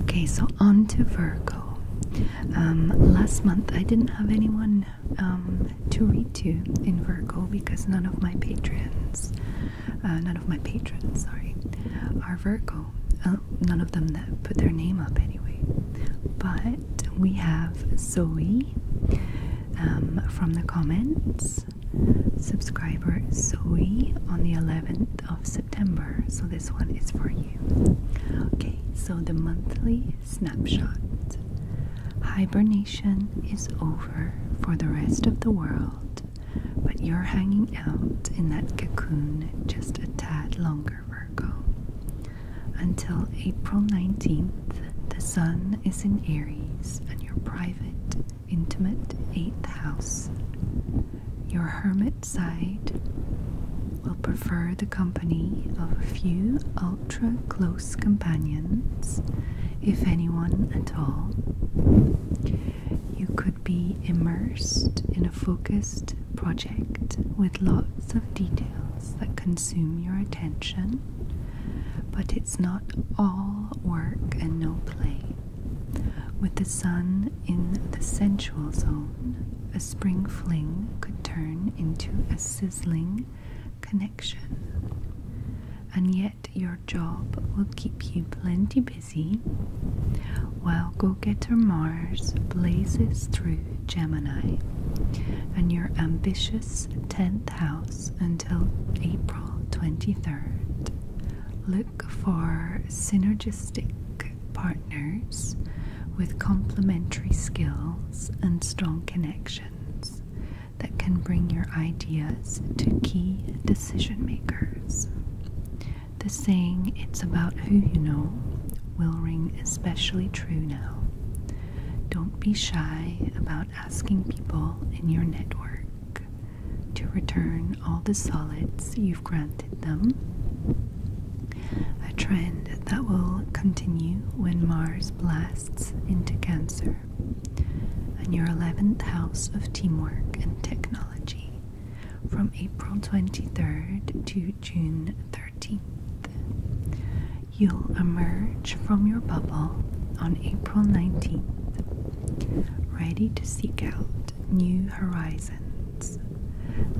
Okay, so on to Virgo. Um, last month I didn't have anyone um, to read to in Virgo because none of my patrons uh, none of my patrons, sorry, are Virgo. Uh, none of them that put their name up anyway. But we have Zoe um, from the comments, subscriber Zoe on the 11th of September. So this one is for you. Okay, so the monthly snapshot. Hibernation is over for the rest of the world, but you're hanging out in that cocoon just a tad longer, Virgo. Until April 19th, the sun is in Aries and your private, intimate 8th house. Your hermit side will prefer the company of a few ultra close companions if anyone at all. You could be immersed in a focused project with lots of details that consume your attention, but it's not all work and no play. With the sun in the sensual zone, a spring fling could turn into a sizzling connection. And yet, your job will keep you plenty busy while go getter Mars blazes through Gemini and your ambitious 10th house until April 23rd. Look for synergistic partners with complementary skills and strong connections that can bring your ideas to key decision makers. The saying, it's about who you know, will ring especially true now. Don't be shy about asking people in your network to return all the solids you've granted them. A trend that will continue when Mars blasts into Cancer in your 11th house of teamwork and technology from April 23rd to June 13th. You'll emerge from your bubble on April 19th, ready to seek out new horizons.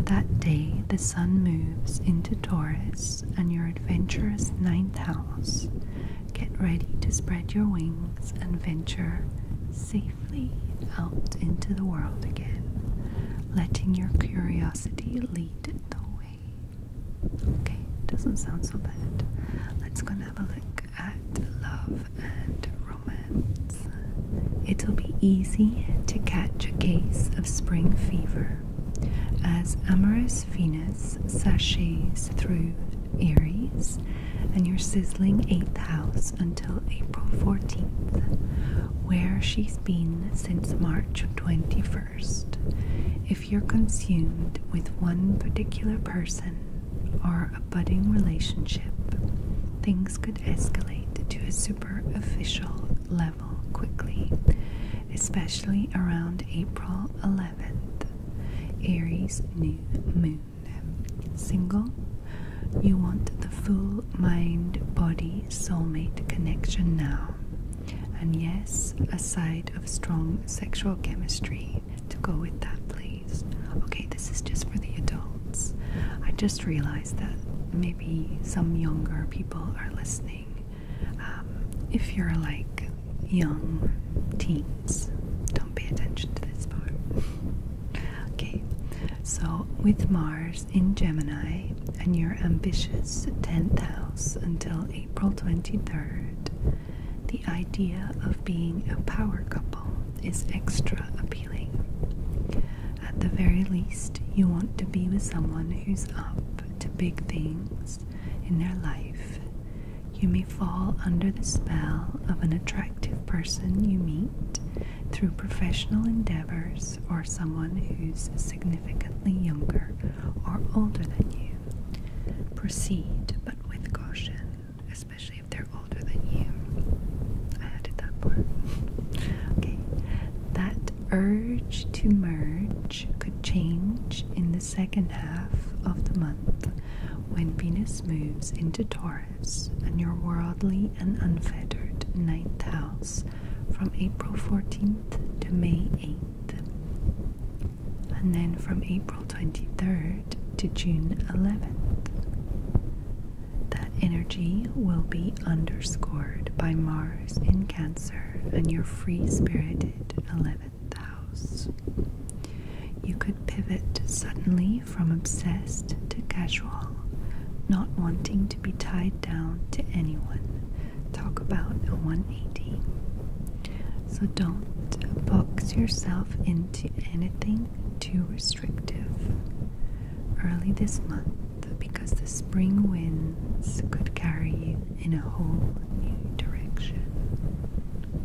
That day, the sun moves into Taurus and your adventurous ninth house, Get ready to spread your wings and venture safely out into the world again, letting your curiosity lead the way. Okay, doesn't sound so bad. Let's go have a look at love and romance. It'll be easy to catch a case of spring fever as amorous Venus sashays through Aries, and your sizzling 8th house until April 14th, where she's been since March 21st. If you're consumed with one particular person or a budding relationship, things could escalate to a superficial level quickly, especially around April 11th. Aries new moon single, you want the full mind body soulmate connection now. And yes, a side of strong sexual chemistry to go with that, please. Okay, this is just for the adults. I just realized that maybe some younger people are listening. Um, if you're like young teens. Don't pay attention to this part. okay, so with Mars in Gemini and your ambitious 10th house until April 23rd, the idea of being a power couple is extra appealing. At the very least, you want to be with someone who's up to big things in their life you may fall under the spell of an attractive person you meet through professional endeavors or someone who's significantly younger or older than you. Proceed, but with caution, especially if they're older than you. I added that part. okay. That urge to merge could change in the second half of the month when Venus moves into Taurus and your worldly and unfettered ninth house from April 14th to May 8th, and then from April 23rd to June 11th, that energy will be underscored by Mars in Cancer and your free spirited 11th the house. You could pivot suddenly from obsessed to casual, not wanting to be tied down to anyone. Talk about a 180. So don't box yourself into anything too restrictive early this month because the spring winds could carry you in a whole new direction.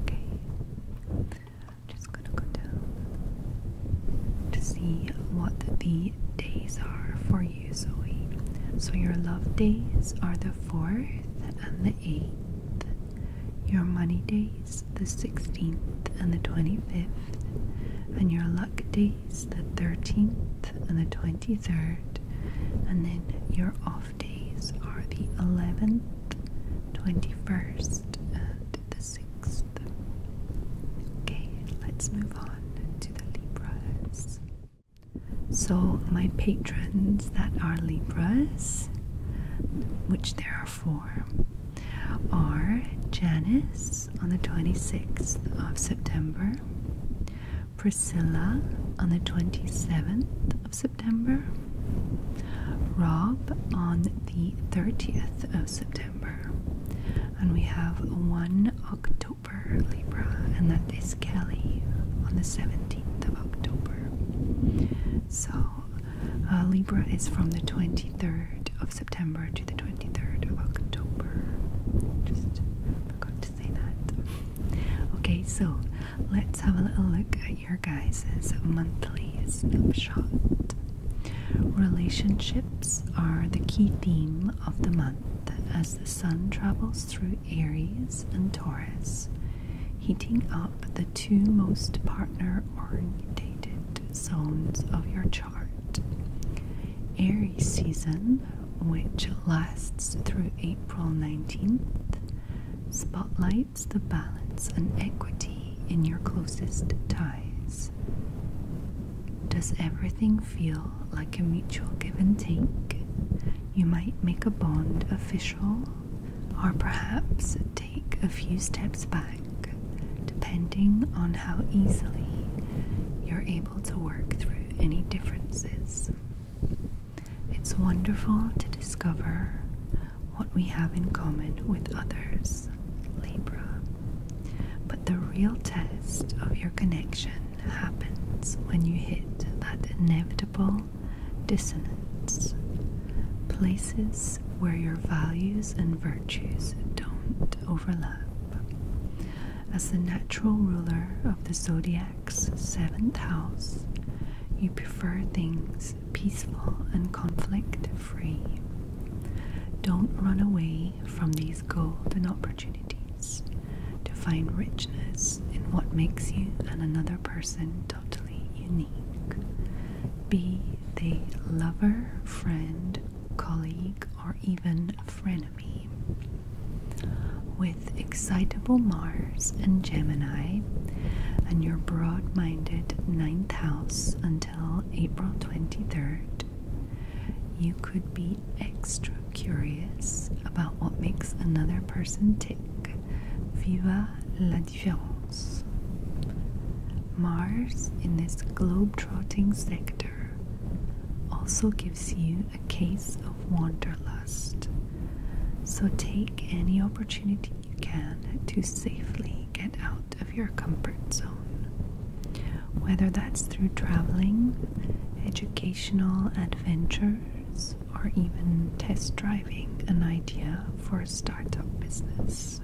Okay. I'm just gonna go down to see what the days are for you, Zoe. So, your love days are the 4th and the 8th, your money days, the 16th and the 25th, and your luck days, the 13th and the 23rd, and then your off days are the 11th 21st and the 6th. Okay, let's move on to the Libras. So, my patrons that are Libras, which there are four, are Janice on the 26th of September, Priscilla on the 27th of September, Rob on the 30th of September, and we have 1 October Libra, and that is Kelly on the 17th of October. So uh, Libra is from the 23rd of September to the 23rd of October. Just forgot to say that. Okay, so let's have a little look your guys' monthly snapshot. Relationships are the key theme of the month as the sun travels through Aries and Taurus, heating up the two most partner oriented zones of your chart. Aries season, which lasts through April 19th, spotlight creates the balance and equity in your closest ties? Does everything feel like a mutual give and take? You might make a bond official or perhaps take a few steps back, depending on how easily you're able to work through any differences. It's wonderful to discover what we have in common with others, Libra. But the real test of your connection happens when you hit that inevitable dissonance, places where your values and virtues don't overlap. As the natural ruler of the zodiac's seventh house, you prefer things peaceful and conflict free. Don't run away from these golden opportunities to find richness in what makes you and another person totally unique. Be the lover, friend, colleague, or even frenemy. With excitable Mars and Gemini and your broad minded ninth house until April 23rd, you could be extra curious about what makes another person tick. Viva la différence. Mars in this globe-trotting sector also gives you a case of wanderlust. So take any opportunity you can to safely get out of your comfort zone. Whether that's through traveling, educational adventures, or even test driving an idea for a startup business.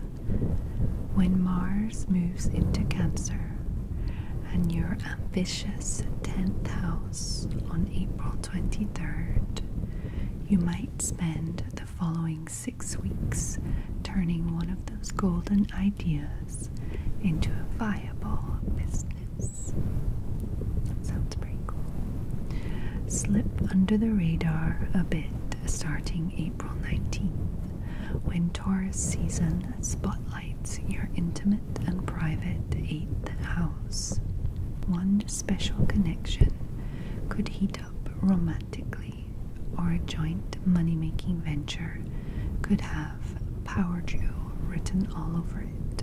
When Mars moves into Cancer and your ambitious 10th house on April 23rd, you might spend the following six weeks, turning one of those golden ideas into a viable business. Sounds pretty cool. Slip under the radar a bit starting April 19th, when Taurus season spotlights your intimate and private 8th house. One special connection could heat romantically or a joint money making venture could have Power Jew written all over it,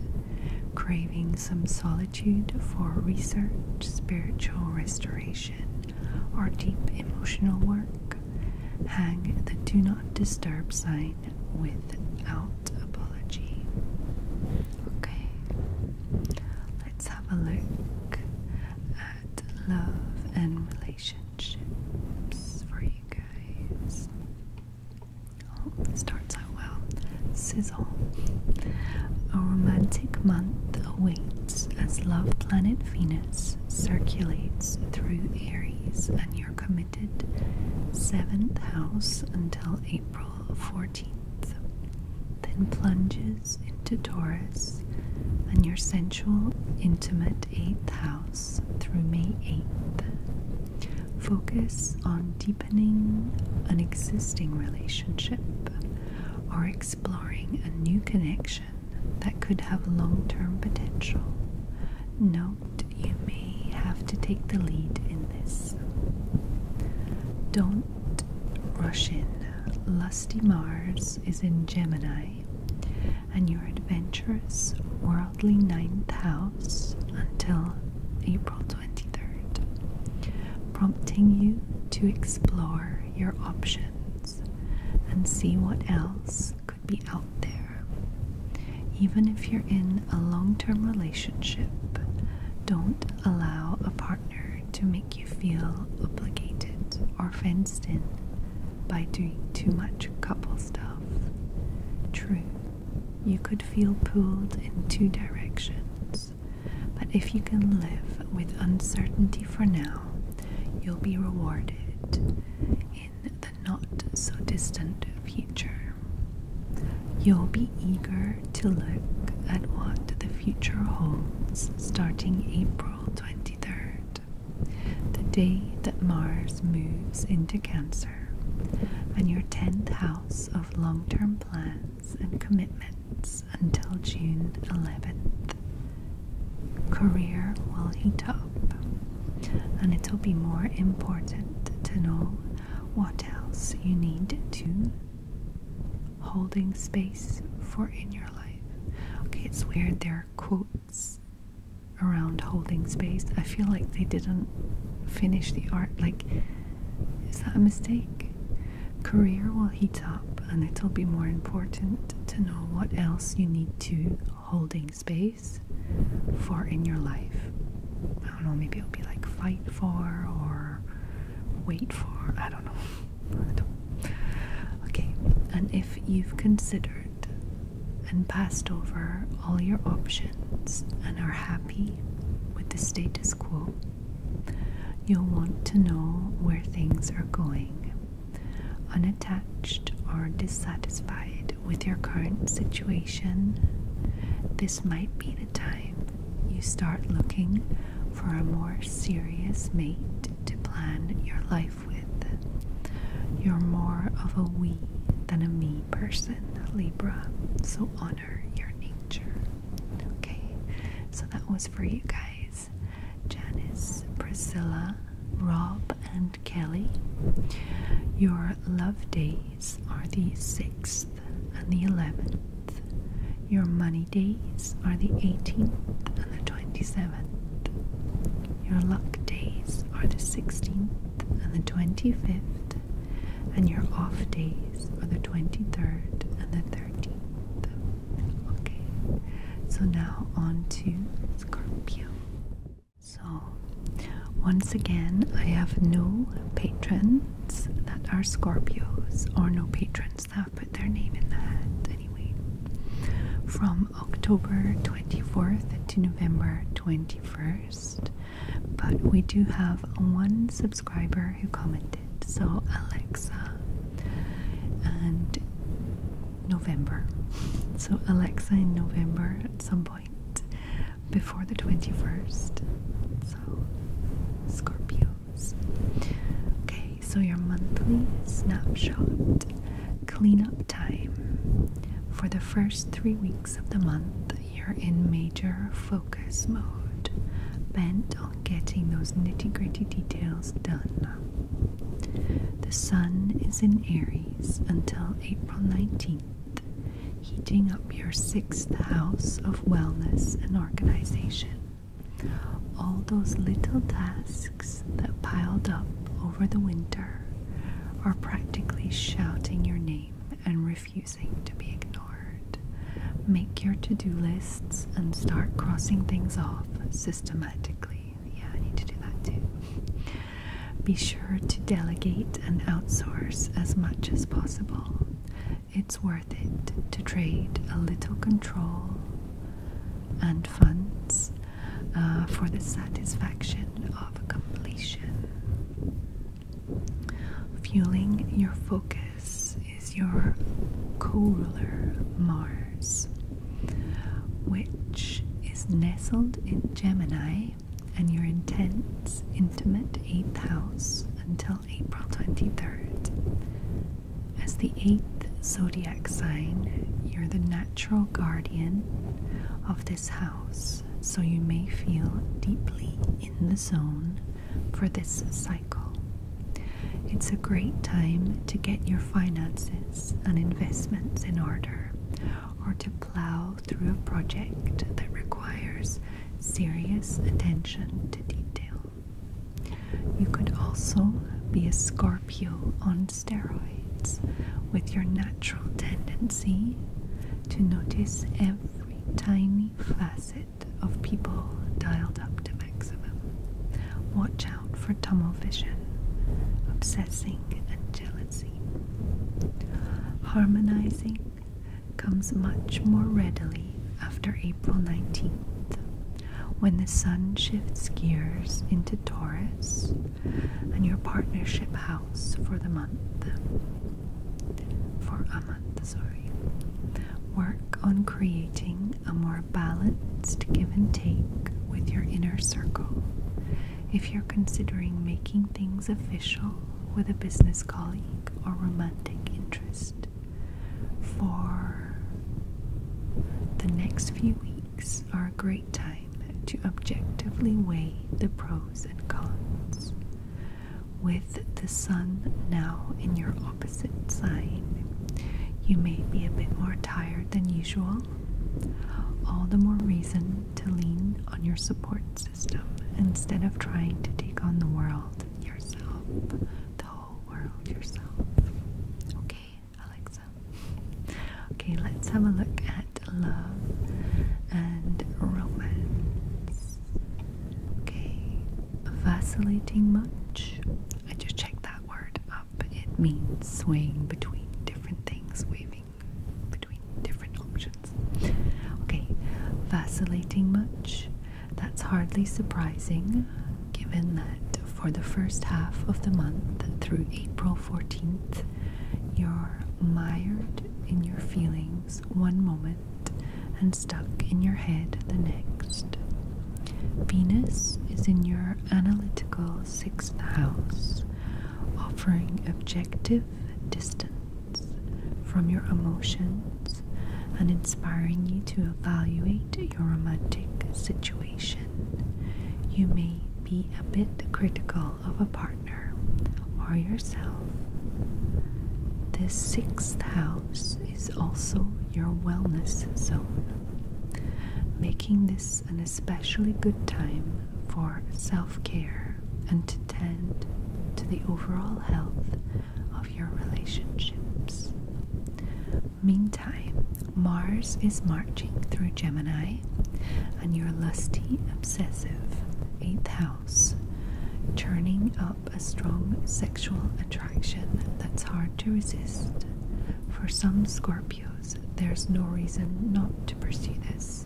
craving some solitude for research, spiritual restoration, or deep emotional work. Hang the do not disturb sign without apology. Okay, let's have a look at love and relationships for you guys. Oh, starts out well. Sizzle. A romantic month awaits as Love Planet Venus circulates through Aries and your committed seventh house until April 14th then plunges into Taurus and your sensual, intimate 8th house through May 8th. Focus on deepening an existing relationship or exploring a new connection that could have long term potential. Note you may have to take the lead in this. Don't Russian Lusty Mars is in Gemini, and your adventurous worldly ninth house until April 23rd, prompting you to explore your options and see what else could be out there. Even if you're in a long term relationship, don't allow a partner to make you feel obligated or fenced in by doing too much couple stuff. True, you could feel pulled in two directions, but if you can live with uncertainty for now, you'll be rewarded in the not so distant future. You'll be eager to look at what the future holds starting April 23rd, the day that Mars moves into Cancer and your 10th house of long term plans and commitments until June 11th. Career will heat up, and it'll be more important to know what else you need to holding space for in your life. Okay, it's weird. There are quotes around holding space. I feel like they didn't finish the art. Like, is that a mistake? Career will heat up, and it'll be more important to know what else you need to holding space for in your life. I don't know, maybe it'll be like fight for or wait for, I don't know. Okay, and if you've considered and passed over all your options and are happy with the status quo, you'll want to know where things are going. Unattached or dissatisfied with your current situation, this might be the time you start looking for a more serious mate to plan your life with. You're more of a we than a me person, Libra, so honor your nature. Okay, so that was for you guys Janice, Priscilla, Rob, and Kelly. Your love days are the 6th and the 11th. Your money days are the 18th and the 27th. Your luck days are the 16th and the 25th. And your off days are the 23rd and the 13th. Okay, so now on to Scorpio. So, once again, I have no patrons that are Scorpios or no patrons that put their name in that hat anyway. From October 24th to November 21st, but we do have one subscriber who commented. So, Alexa and November. So, Alexa in November at some point before the 21st. So, Scorpios. Okay, so your monthly snapshot cleanup time. For the first three weeks of the month, you're in major focus mode, bent on getting those nitty gritty details done. The sun is in Aries until April 19th. Heating up your sixth house of wellness and organization. All those little tasks that piled up over the winter are practically shouting your name and refusing to be ignored. Make your to do lists and start crossing things off systematically. Yeah, I need to do that too. Be sure to delegate and outsource as much as possible. It's worth it to trade a little control and funds uh, for the satisfaction of completion. Fueling your focus is your co ruler Mars, which is nestled in Gemini and your intense, intimate 8th house until April 23rd. As the eighth zodiac sign, you're the natural guardian of this house, so you may feel deeply in the zone for this cycle. It's a great time to get your finances and investments in order or to plow through a project that requires serious attention to detail. You could also be a Scorpio on steroids with your natural tendency to notice every tiny facet of people dialed up to maximum. Watch out for tunnel vision, obsessing, and jealousy. Harmonizing comes much more readily after April 19th. When the sun shifts gears into Taurus and your partnership house for the month, for a month, sorry, work on creating a more balanced give and take with your inner circle. If you're considering making things official with a business colleague or romantic interest, for the next few weeks are a great time to objectively weigh the pros and cons. With the sun now in your opposite sign, you may be a bit more tired than usual. All the more reason to lean on your support system instead of trying to take on the world yourself, the whole world yourself. Okay? Alexa. Okay, let's have a look at love and romance. Okay, vacillating much. I just checked that word up. It means swaying between different things, waving between different options. Okay, vacillating much. That's hardly surprising given that for the first half of the month through April 14th, you're mired in your feelings one moment and stuck in your head the next. Venus is in your analytical sixth house, offering objective distance from your emotions and inspiring you to evaluate your romantic situation you may be a bit critical of a partner or yourself. This sixth house is also your wellness zone, making this an especially good time for self care and to tend to the overall health of your relationships. Meantime, Mars is marching through Gemini and your lusty, obsessive eighth house, turning up a strong sexual attraction that's hard to resist. For some Scorpios, there's no reason not to pursue this,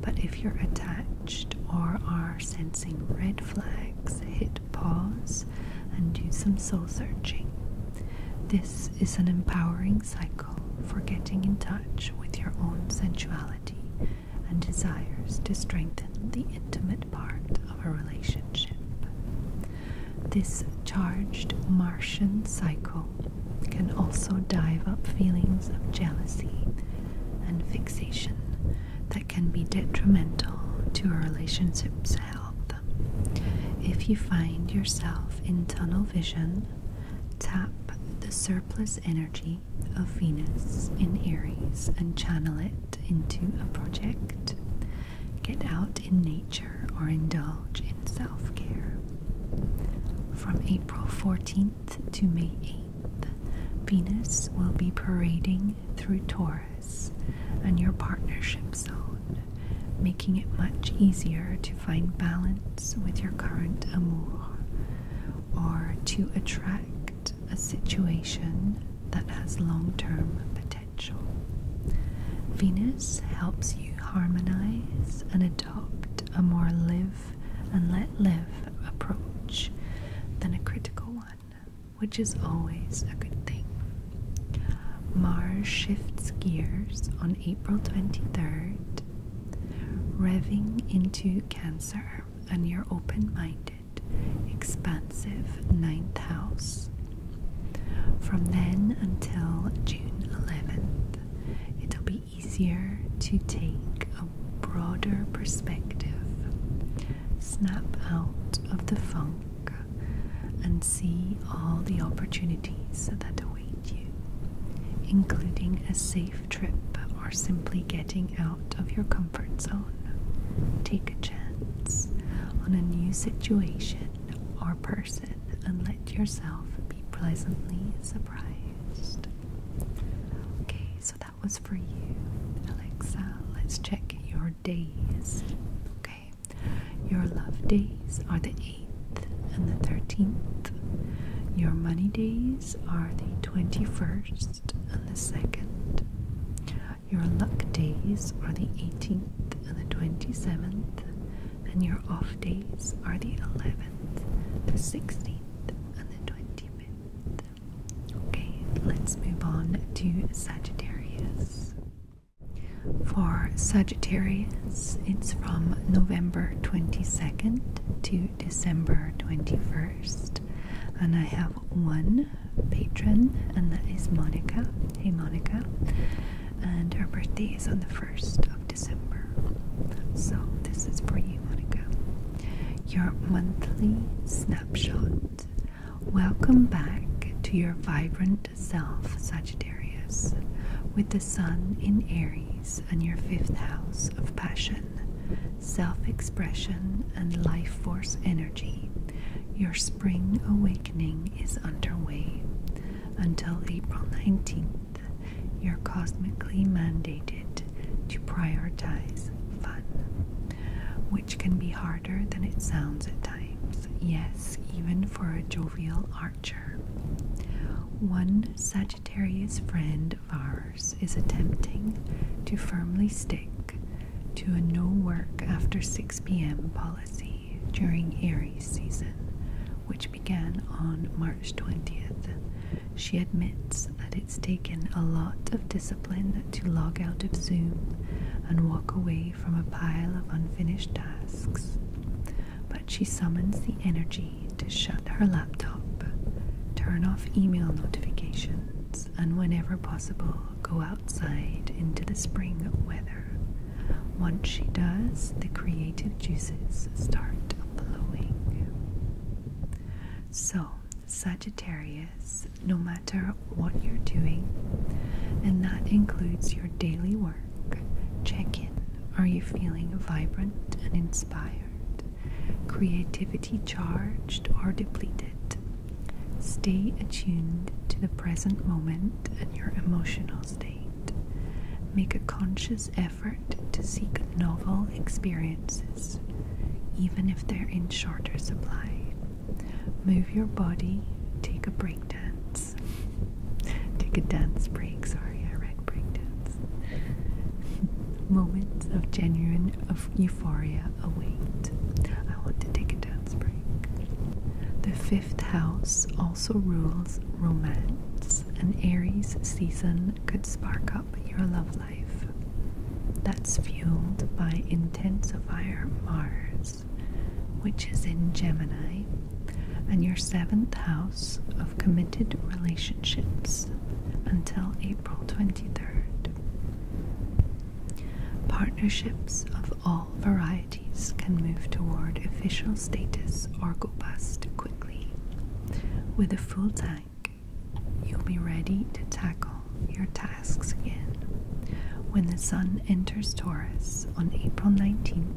but if you're attached or are sensing red flags, hit pause and do some soul searching. This is an empowering cycle for getting in touch with your own sensuality and desires to strengthen the intimate part of a relationship. This charged Martian cycle can also dive up feelings of jealousy and fixation that can be detrimental to a relationship's health if you find yourself in tunnel vision, tap the surplus energy of Venus in Aries and channel it into a project. Get out in nature or indulge in self care. From April 14th to May 8th, Venus will be parading through Taurus and your partnership zone making it much easier to find balance with your current amour or to attract a situation that has long term potential. Venus helps you harmonize and adopt a more live and let live approach than a critical one, which is always a good thing. Mars shifts gears on April 23rd, revving into Cancer and your open minded, expansive ninth house. From then until June 11th, it'll be easier to take a broader perspective, snap out of the funk, and see all the opportunities that await you, including a safe trip or simply getting out of your comfort zone. Take a chance on a new situation or person and let yourself be pleasantly surprised. Okay, so that was for you, Alexa. Let's check your days. Okay, your love days are the 8th and the 13th. Your money days are the 21st and the 2nd. Your luck days are the 18th and the 27th. And your off days are the 11th, the 16th, and the 25th. Okay, let's move on to Sagittarius. For Sagittarius, it's from November 22nd to December 21st. And I have one patron, and that is Monica. Hey, Monica. And her birthday is on the 1st of December. So, this is for you, Monica. Your monthly snapshot. Welcome back to your vibrant second self, Sagittarius, with the Sun in Aries and your fifth house of passion, self expression, and life force energy, your spring awakening is underway. Until April 19th, you're cosmically mandated to prioritize fun, which can be harder than it sounds at times. Yes, even for a jovial one Sagittarius friend of ours is attempting to firmly stick to a no work after 6 p.m. policy during Aries season, which began on March 20th. She admits that it's taken a lot of discipline to log out of Zoom and walk away from a pile of unfinished tasks but she summons the energy to shut her laptop, turn off email notifications, and whenever possible, go outside into the spring weather. Once she does, the creative juices start flowing. So, Sagittarius, no matter what you're doing, and that includes your daily work Check in. Are you feeling vibrant and inspired? Creativity charged or depleted? Stay attuned to the present moment and your emotional state. Make a conscious effort to seek novel experiences, even if they're in shorter supply. Move your body, take a break dance Take a dance break. Sorry, I read break dance. Moments of genuine of euphoria await. I want to take a dance break. The fifth house also rules romance. An Aries season could spark up your love life. That's fueled by intensifier Mars, which is in Gemini and your seventh house of committed relationships until April 23rd. Partnerships of all varieties can move toward official status or go bust quickly. With a full tank, you'll be ready to tackle your tasks again. When the Sun enters Taurus on April 19th,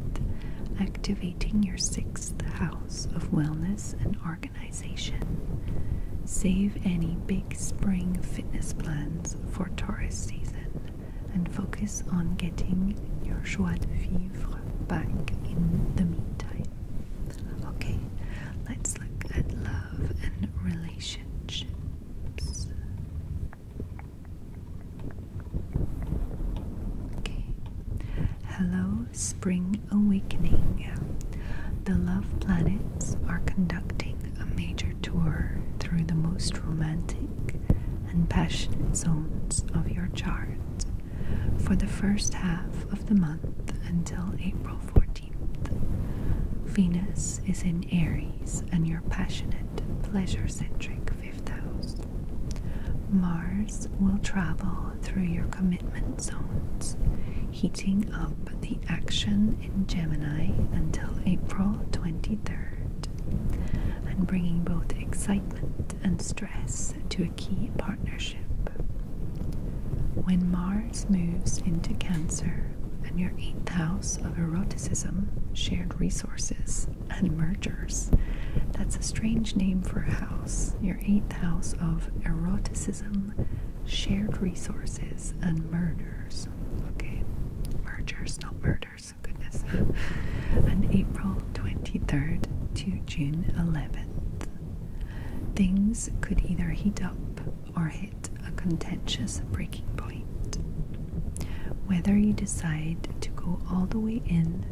activating your sixth house of wellness and organization. Save any big spring fitness plans for tourist season and focus on getting your joie de vivre back in the meantime. Okay, let's look at love and relationships. Hello, Spring Awakening. The Love Planets are conducting a major tour through the most romantic and passionate zones of your chart for the first half of the month until April 14th. Venus is in Aries, and you're passionate, pleasure centric fifth house. Mars will travel through your commitment zones, heating up the action in Gemini until April 23rd, and bringing both excitement and stress to a key partnership. When Mars moves into Cancer and your eighth house of eroticism, shared resources, and mergers. That's a strange name for a house, your eighth house of eroticism, shared resources, and murders. Okay, mergers, not murders, goodness. and April 23rd to June 11th. Things could either heat up or hit a contentious breaking point. Whether you decide to go all the way in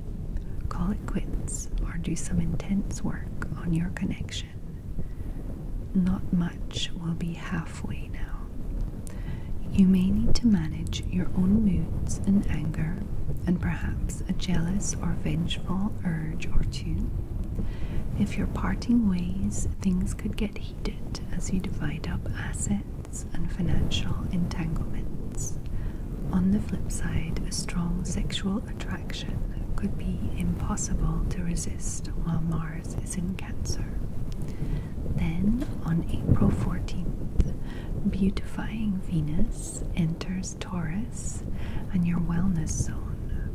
call it quits, or do some intense work on your connection. Not much will be halfway now. You may need to manage your own moods and anger, and perhaps a jealous or vengeful urge or two. If you're parting ways, things could get heated as you divide up assets and financial entanglements. On the flip side, a strong sexual attraction could be impossible to resist while Mars is in Cancer. Then, on April 14th, beautifying Venus enters Taurus and your wellness zone,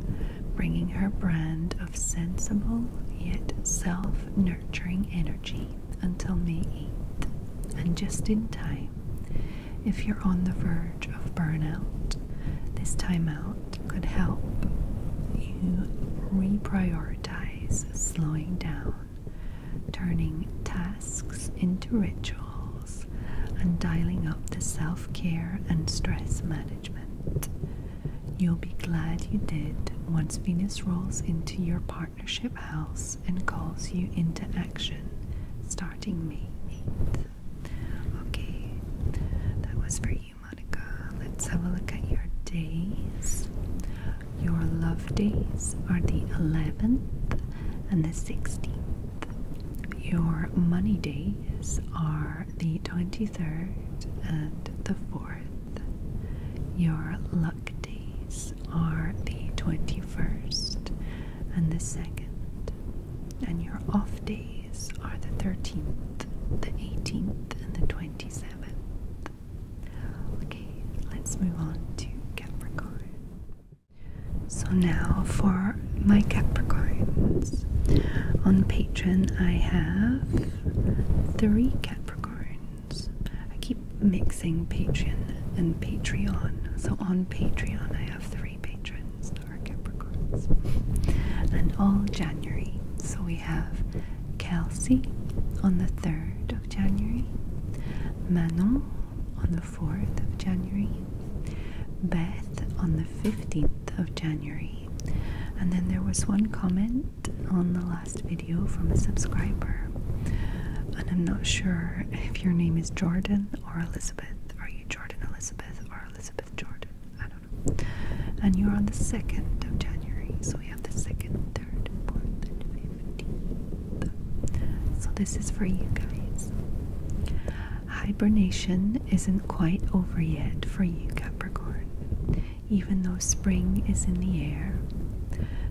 bringing her brand of sensible yet self nurturing energy until May 8th, and just in time if you're on the verge of burnout. This timeout could help you reprioritize slowing down, turning tasks into rituals, and dialing up the self care and stress management. You'll be glad you did once Venus rolls into your part house and calls you into action starting me. Okay, that was for you, Monica. Let's have a look at your days. Your love days are the 11th and the 16th. Your money days are the 23rd and the 4th. Your luck days are the 21st and the 2nd, and your off days are the 13th, the 18th, and the 27th. Okay, let's move on to Capricorn. So, now for my Capricorns. On Patreon, I have three Capricorns. I keep mixing Patreon and Patreon. So on Patreon, I have three patrons that Capricorns. And all January. So we have Kelsey on the 3rd of January, Manon on the 4th of January, Beth on the 15th of January. And then there was one comment on the last video from a subscriber and I'm not sure if your name is Jordan or Elizabeth. Are you Jordan Elizabeth or Elizabeth Jordan? I don't know. And you're on the 2nd of January. So we have the 2nd, 3rd, 4th, and 15th. So this is for you guys. Hibernation isn't quite over yet for you, Capricorn. Even though spring is in the air,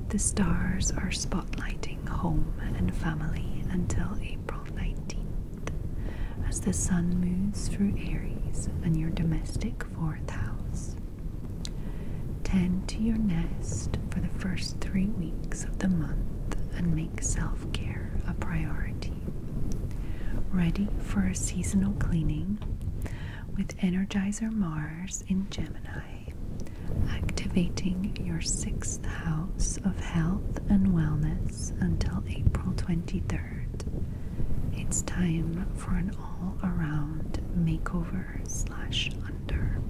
the stars are spot spotlighting home and family until April 19th, as the sun moves through Aries and your domestic fourth house. Tend to your nest for the first three weeks of the month and make self care a priority. Ready for a seasonal cleaning with Energizer Mars in Gemini activating your sixth house of health and wellness until April 23rd. It's time for an all around makeover slash under.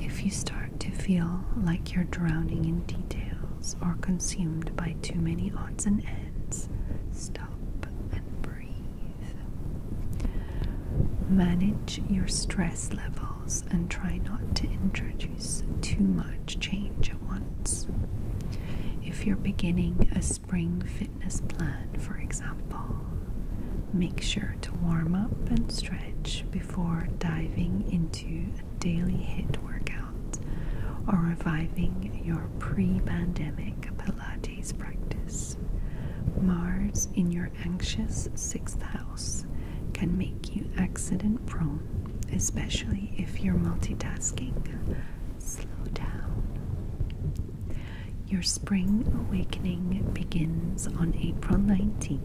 If you start to feel like you're drowning in details or consumed by too many odds and ends, stop and breathe. Manage your stress levels and try not to introduce too much change at once. If you're beginning a spring fitness plan, for example, make sure to warm up and stretch before diving into a daily hit workout or reviving your pre pandemic Pilates practice. Mars in your anxious sixth house can make you accident prone, especially if you're multitasking. Slow down. Your spring awakening begins on April 19th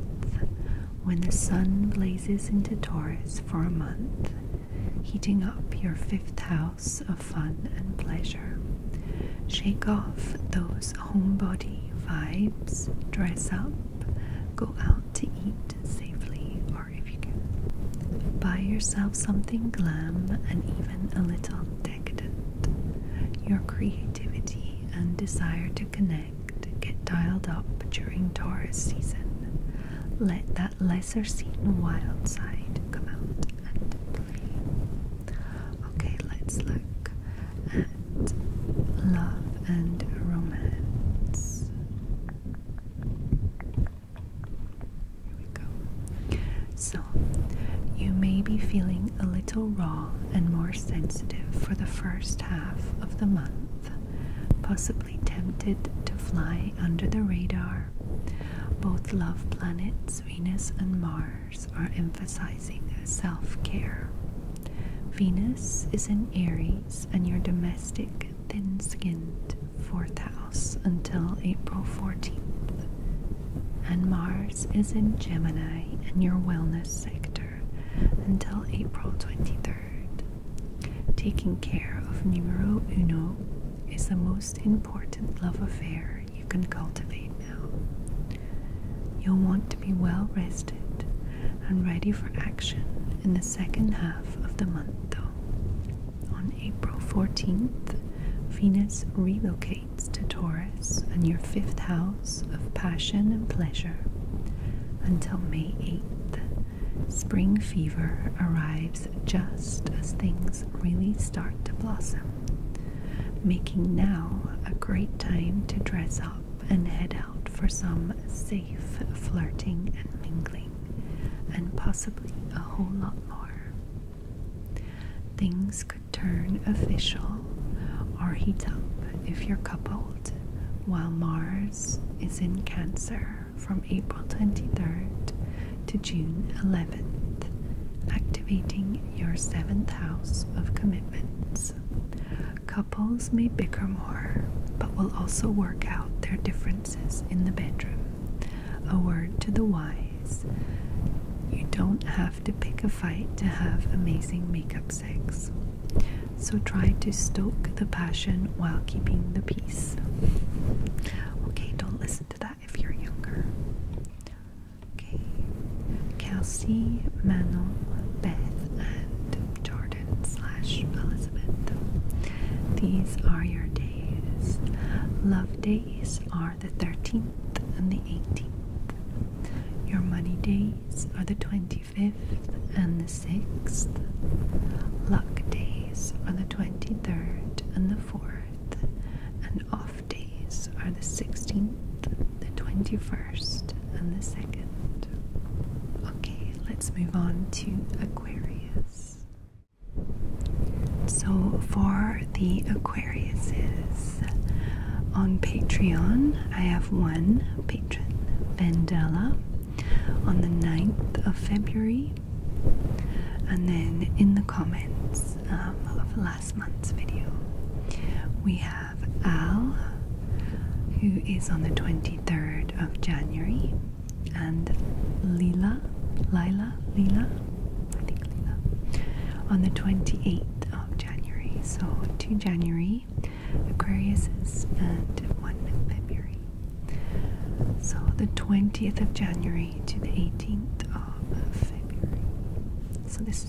when the sun blazes into Taurus for a month, heating up your fifth house of fun and pleasure. Shake off those homebody vibes, dress up, go out to eat safely, or if you can, buy yourself something glam and even a little decadent. Your creativity and desire to connect get dialed up during Taurus season. Let that lesser seen wild side come out and play. Okay, let's look and Love and Romance. Here we go. So, you may be feeling a little raw and more sensitive for the first half of the month, possibly tempted to fly under the radar. Both love planets, Venus and Mars are emphasizing self care. Venus is in Aries in your domestic, thin skinned fourth house until April 14th. And Mars is in Gemini in your wellness sector until April 23rd. Taking care of numero uno is the most important love affair you can cultivate. You'll want to be well rested and ready for action in the second half of the month, though. On April 14th, Venus relocates to Taurus and your fifth house of passion and pleasure. Until May 8th, spring fever arrives just as things really start to blossom, making now a great time to dress up and head out for some safe flirting and mingling, and possibly a whole lot more. Things could turn official or heat up if you're coupled while Mars is in Cancer from April 23rd to June 11th, activating your seventh house of commitments. Couples may bicker more, but will also work out their differences in the bedroom. A word to the wise you don't have to pick a fight to have amazing makeup sex. So try to stoke the passion while keeping the peace. Okay, don't listen to that if you're younger. Okay, Kelsey, Manon, Beth, and Jordan slash Elizabeth. These are your days. Love days are the 13th and the 18th. Your money days are the 25th and the 6th. Luck days are the 23rd and the 4th. And off days are the 16th the 21st, and the 2nd. Okay, let's move on to Aquarius. So, for the Aquariuses on Patreon, I have one patron, Vendela, on the 9th of February, and then in the comments um, of last month's video, we have. Al, who is on the 23rd of January, and Lila, Lila, Lila, I think Lila, on the 28th of January. So, two January Aquarius, and one February. So, the 20th of January to the 18th of February. So, this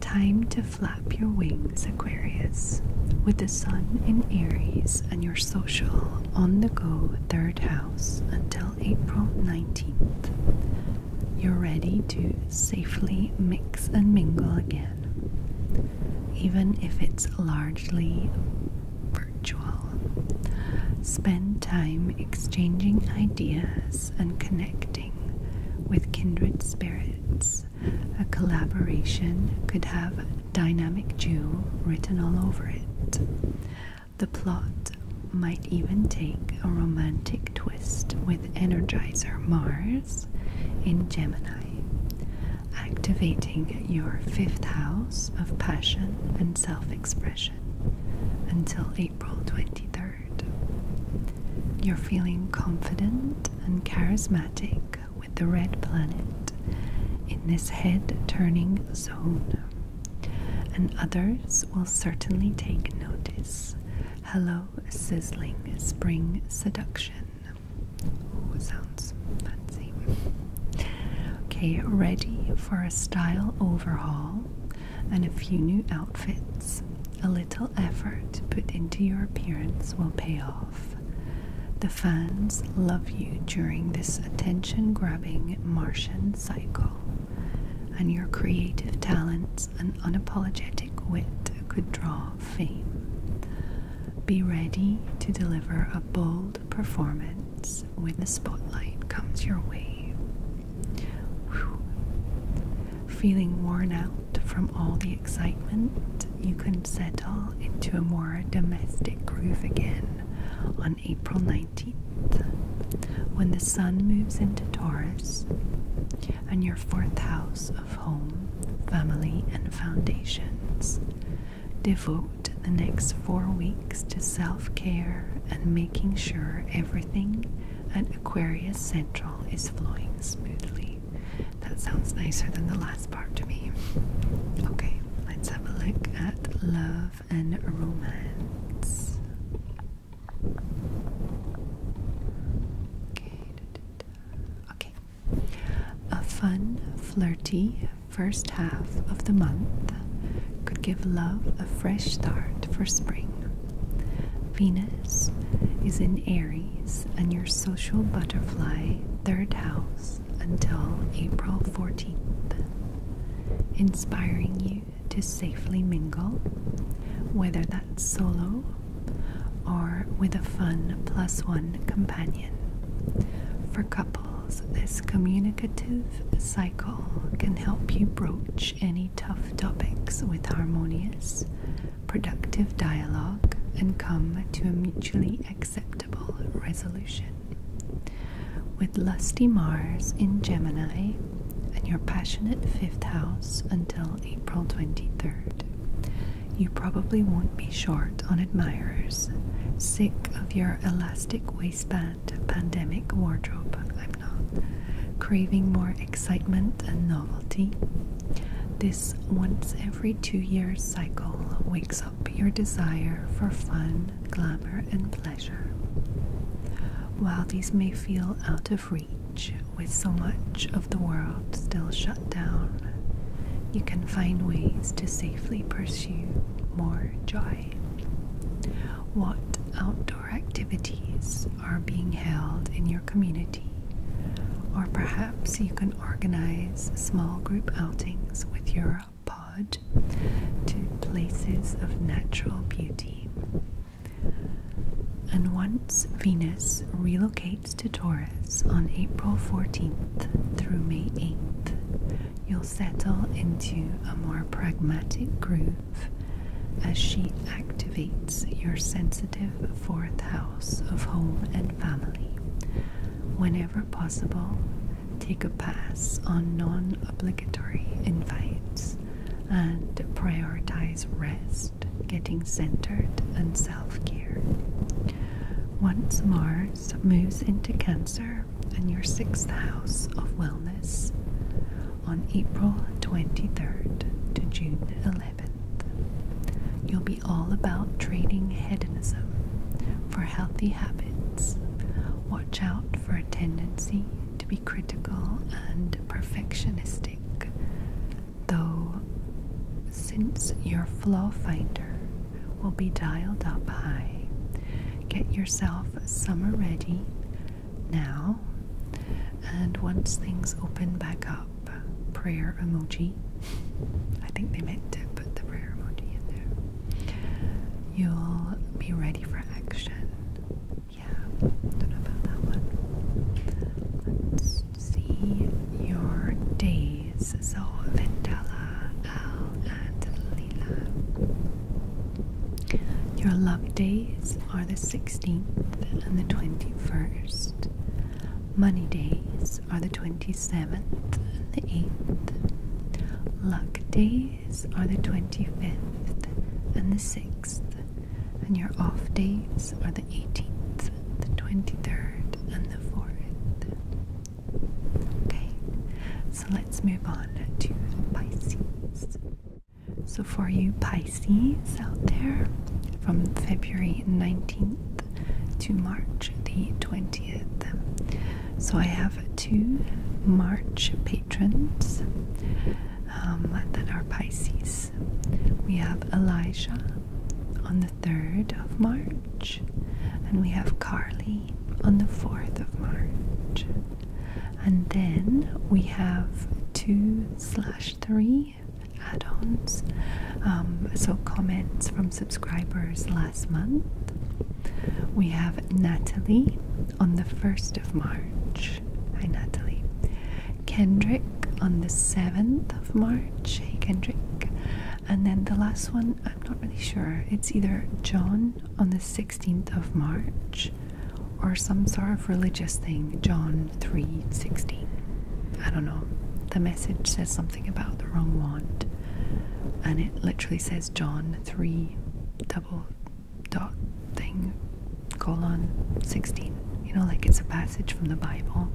Time to flap your wings, Aquarius, with the sun in Aries and your social on the go third house until April 19th. You're ready to safely mix and mingle again, even if it's largely virtual. Spend time exchanging ideas and connecting with kindred spirits. A collaboration could have Dynamic Jew written all over it. The plot might even take a romantic twist with Energizer Mars in Gemini, activating your fifth house of passion and self expression until April 23rd. You're feeling confident and charismatic with the red planet in this head turning zone, and others will certainly take notice. Hello, sizzling spring seduction. sounds fancy. Okay, ready for a style overhaul and a few new outfits a little effort put into your appearance will pay off. The fans love you during this attention grabbing Martian cycle, and your creative talents and unapologetic wit could draw fame. Be ready to deliver a bold performance when the spotlight comes your way feeling worn out from all the excitement, you can settle into a more domestic groove again on April 19th when the sun moves into Taurus and your fourth house of home, family, and foundations. Devote the next four weeks to self care and making sure everything and Aquarius Central is flowing smoothly. That sounds nicer than the last part to me. Okay, let's have a look at love and romance. Okay, okay. A fun, flirty first half of the month could give love a fresh start for spring. Venus is in Aries and your social butterfly third house until April 14th, inspiring you to safely mingle, whether that's solo or with a fun plus one companion. For couples, this communicative cycle can help you broach any tough topics with harmonious, productive dialogue, and come to a mutually acceptable resolution. With lusty Mars in Gemini and your passionate fifth house until April 23rd, you probably won't be short on admirers. Sick of your elastic waistband pandemic wardrobe, I'm not craving more excitement and novelty. This once every two years cycle wakes up your desire for fun, glamour, and pleasure. While these may feel out of reach, with so much of the world still shut down, you can find ways to safely pursue more joy. What outdoor activities are being held in your community, or perhaps you can organize small group outings with your pod to places of natural beauty. And once Venus relocates to Taurus on April 14th through May 8th, you'll settle into a more pragmatic groove as she activates your sensitive active fourth house of home and family. Whenever possible, take a pass on non obligatory invites and prioritize rest, getting centered, and self care. Once Mars moves into Cancer and your sixth house of wellness on April 23rd to June 11th. You'll be all about trading hedonism for healthy habits. Watch out for a tendency to be critical and perfectionistic, though, since your flaw finder will be dialed up high, get yourself summer ready now. And once things open back up, the prayer emoji. I think they meant to put the prayer emoji in there. You'll be ready for action. Yeah, don't know about that one. Let's see your days. So, Vendala, Al, and Lila. Your love days are the 16th and the 21st. Money days are the 27th and the 8th. Luck days are the 25th and the 6th. And your off days are the 18th, the 23rd, and the 4th. Okay, so let's move on to Pisces. So, for you Pisces, Pisces out there from February 19th to March the 20th. So I have two March patrons um, that are Pisces. We have Elijah on the 3rd of March, and we have Carly on the 4th of March. And then we have two slash three add-ons um, so comments from subscribers last month we have Natalie on the 1st of March hi Natalie Kendrick on the 7th of March hey Kendrick and then the last one I'm not really sure it's either John on the 16th of March or some sort of religious thing John 3:16. I don't know. The message says something about the wrong wand, and it literally says John 3 double dot thing colon 16. You know, like it's a passage from the Bible,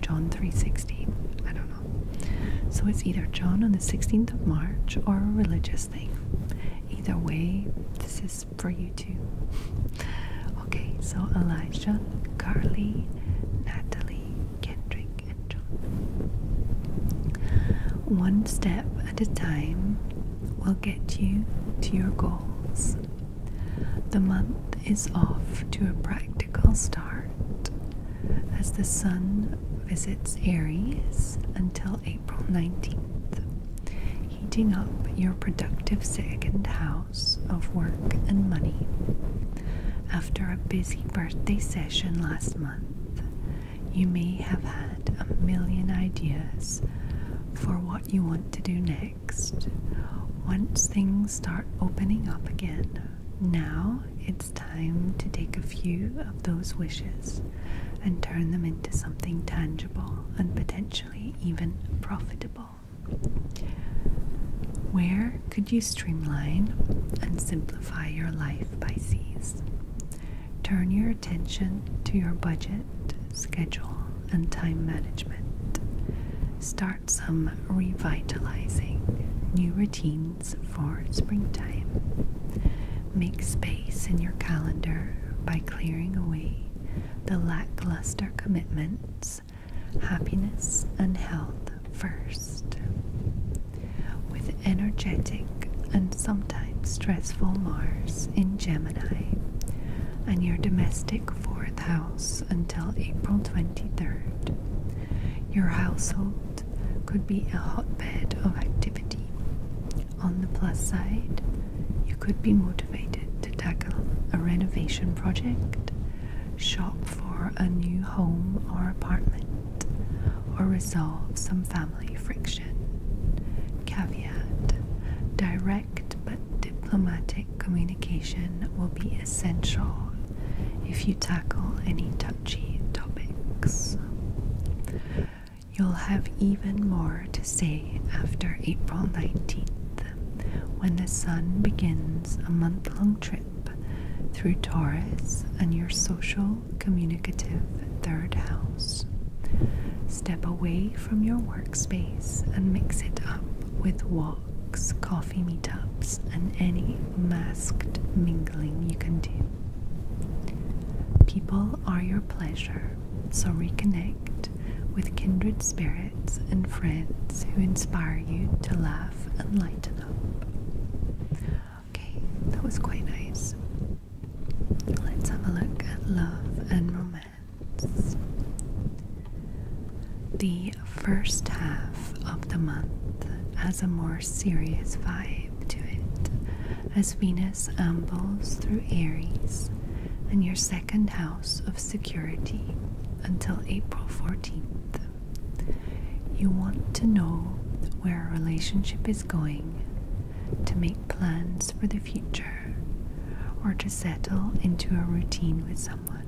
John 3:16. I don't know. So it's either John on the 16th of March or a religious thing. Either way, this is for you too. Okay, so Elijah, Carly, Natalie, Kendrick, and John. One step at a time will get you to your goals. The month is off to a practical start as the sun visits Aries until April 19th, heating up your productive second house of work and money. After a busy birthday session last month, you may have had a million ideas for what you want to do next. Once things start opening up again, now it's time to take a few of those wishes and turn them into something tangible and potentially even profitable. Where could you streamline and simplify your life, by Pisces? Turn your attention to your budget, schedule, and time management. Start some revitalizing new routines for springtime. Make space in your calendar by clearing away the lackluster commitments happiness and health first. With energetic and sometimes stressful Mars in Gemini and your domestic fourth house until April 23rd, your household could be a hotbed of activity. On the plus side, you could be motivated to tackle a renovation project shop for a new home or apartment, or resolve some family friction. Caveat Direct but diplomatic communication will be essential if you tackle any touchy topics. You'll have even more to say after April 19th when the sun begins a month long trip through Taurus and your social, communicative third house. Step away from your workspace and mix it up with walks, coffee meetups, and any masked mingling you can do. People are your pleasure, so reconnect with kindred spirits and friends who inspire you to laugh and lighten up. Okay, that was quite nice. Let's have a look at love and romance. The first half of the month has a more serious vibe to it as Venus ambles through Aries in your second house of security until April 14th. You want to know where a relationship is going, to make plans for the future, or to settle into a routine with someone.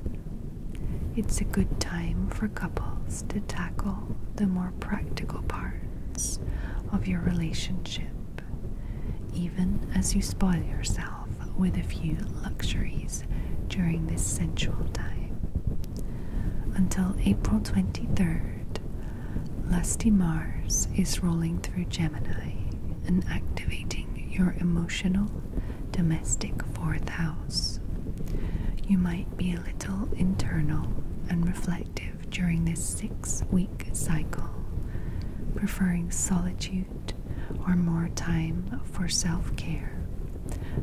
It's a good time for couples to tackle the more practical parts of your relationship, even as you spoil yourself with a few luxuries during this sensual time. Until April 23rd, Lusty Mars is rolling through Gemini and activating your emotional, domestic fourth house. You might be a little internal and reflective during this six week cycle, preferring solitude or more time for self care.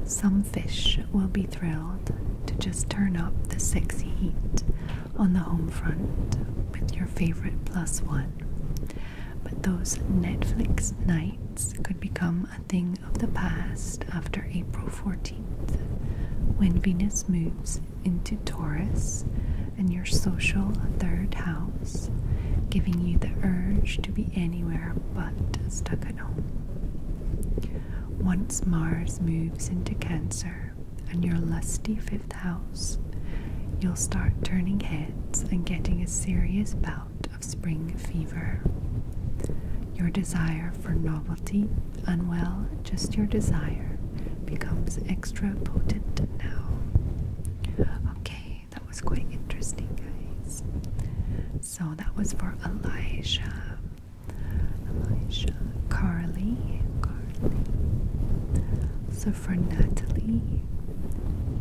Some fish will be thrilled to just turn up the sexy heat on the home front with your favorite plus one. But those Netflix nights could become a thing of the past after April 14th when Venus moves into Taurus and your social third house giving you the urge to be anywhere but stuck at home. Once Mars moves into Cancer and your lusty fifth house, you'll start turning heads and getting a serious bout of spring fever. Your desire for novelty, and well, just your desire, becomes extra potent now. Okay, that was quite interesting, guys. So that was for Elijah, Carly. So for Natalie,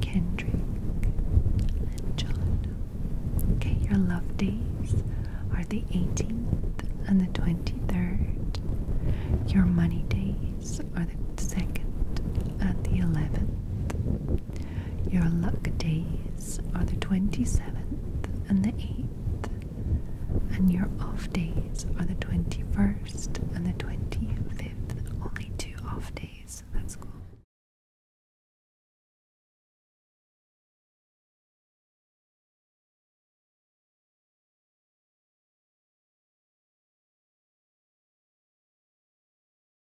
Kendrick, and John. Okay, your love days are the 18th and the 23rd. Your money days are the 2nd and the 11th. Your luck days are the 27th and the 8th, and your off days are the 21st and the 25th. Only two off days. That's cool.